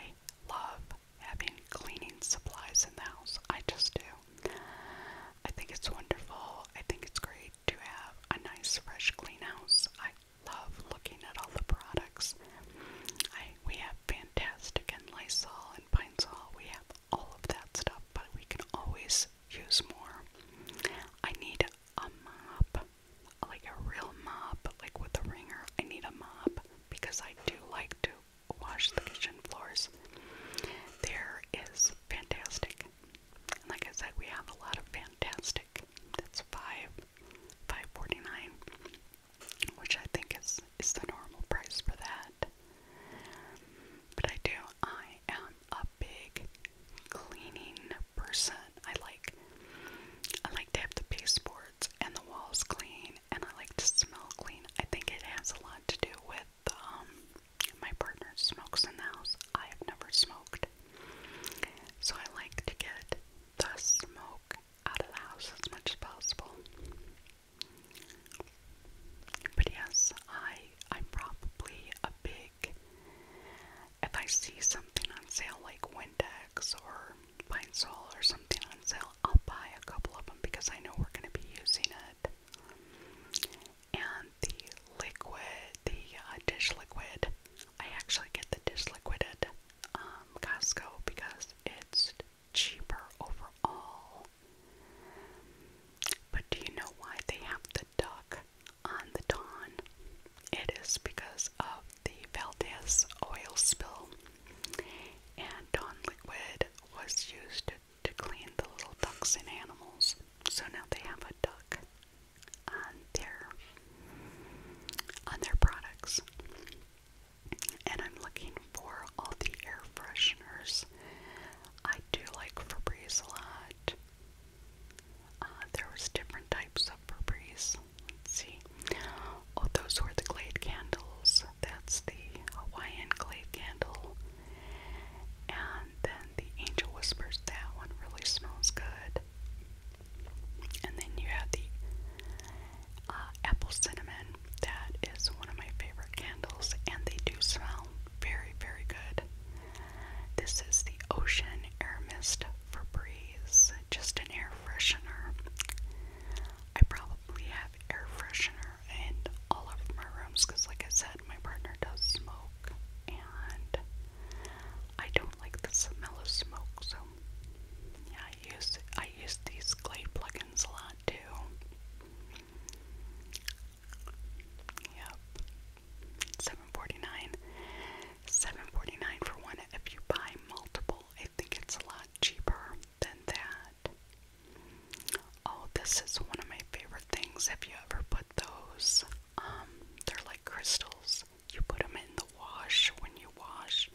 love having cleaning supplies in the house. I just do. I think it's wonderful. I think it's great to have a nice, fresh, clean house. I love looking at all the products. I we have Fantastic and Lysol and Pine-Sol. We have all of that stuff, but we can always use more. I need a mop, like a real mop, like with a wringer. I need a mop because I do like to wash the kitchen floors. There is fantastic. And like I said, we have a lot of fantastic. That's five, five forty nine, which I think is is the normal price for that. But I do I am a big cleaning person. I like I like to have the baseboards and the walls clean and I like to smell clean. I think it has a lot to do with um my partner smokes in the house. I have never smoked. So I like to get the smoke out of the house as much as possible. But yes, I I'm probably a big like if I see something on sale like Windex or Pine Sol or something on sale, I'll buy a couple of them because I know we're going to be using it. And the liquid, the uh, dish liquid, I actually get the dish liquid at um, Costco because it's cheaper overall. But do you know why they have the duck on the Dawn. It is because of the Valdez oil spill, and Dawn liquid was used to, clean the little ducks and animals. So now they have a duck on their on their products. And I'm looking for all the air fresheners. I do like Febreze a lot. Uh, there was different types of Burberry's. Let's see. Oh, those were the Glade candles. That's the Hawaiian Glade candle. And then the Angel Whispers. That one really smells good. And then you have the uh, Apple Cinnamon. That is one of my favorite candles, and they do smell very, very good. This is the Ocean Air Mist for Breeze, just an air freshener. I probably have air freshener in all of my rooms because, like I said, my partner does smoke and I don't like the smell of smoke, so yeah, I use I use these Glade plugins a lot too. Yep. Seven forty nine. Seven forty nine for one. If you buy multiple, I think it's a lot cheaper than that. Oh, this is one of my favorite things. Have you ever put those? Um, they're like crystals. You put them in the wash when you wash,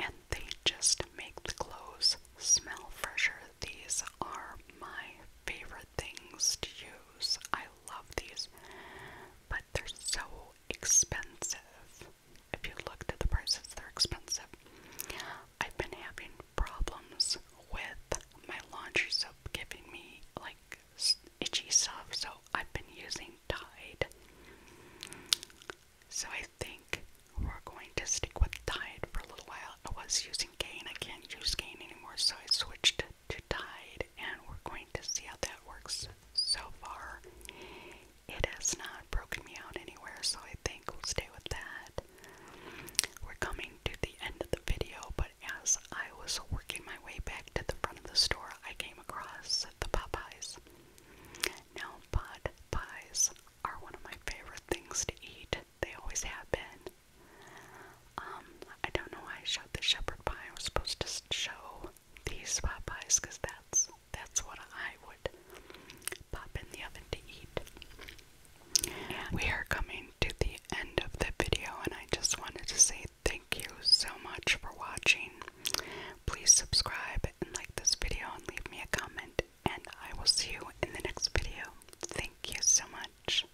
and they just make the clothes smell fresher. These are my favorite things to use. I love these, but they're so expensive. If you looked at the prices, they're expensive. I've been having problems with my laundry soap giving me like itchy stuff, so I've been using Tide. So I think we're going to stick with Tide for a little while. I was using Gain, I can't use Gain anymore, so I switched to tide, and we're going to see how that works so far. It has not broken me out anywhere, so I think we'll stay with that. We're coming to the end of the video, but as I was working my way back to the front of the store, I came across the Popeyes. Now, Popeyes are one of my favorite things to eat. They always have been. Um, I don't know why I showed the shepherd pie. I was supposed to show these spot pies because that's that's what I would pop in the oven to eat. we are coming to the end of the video, and I just wanted to say thank you so much for watching. Please subscribe and like this video and leave me a comment, and I will see you in the next video. Thank you so much.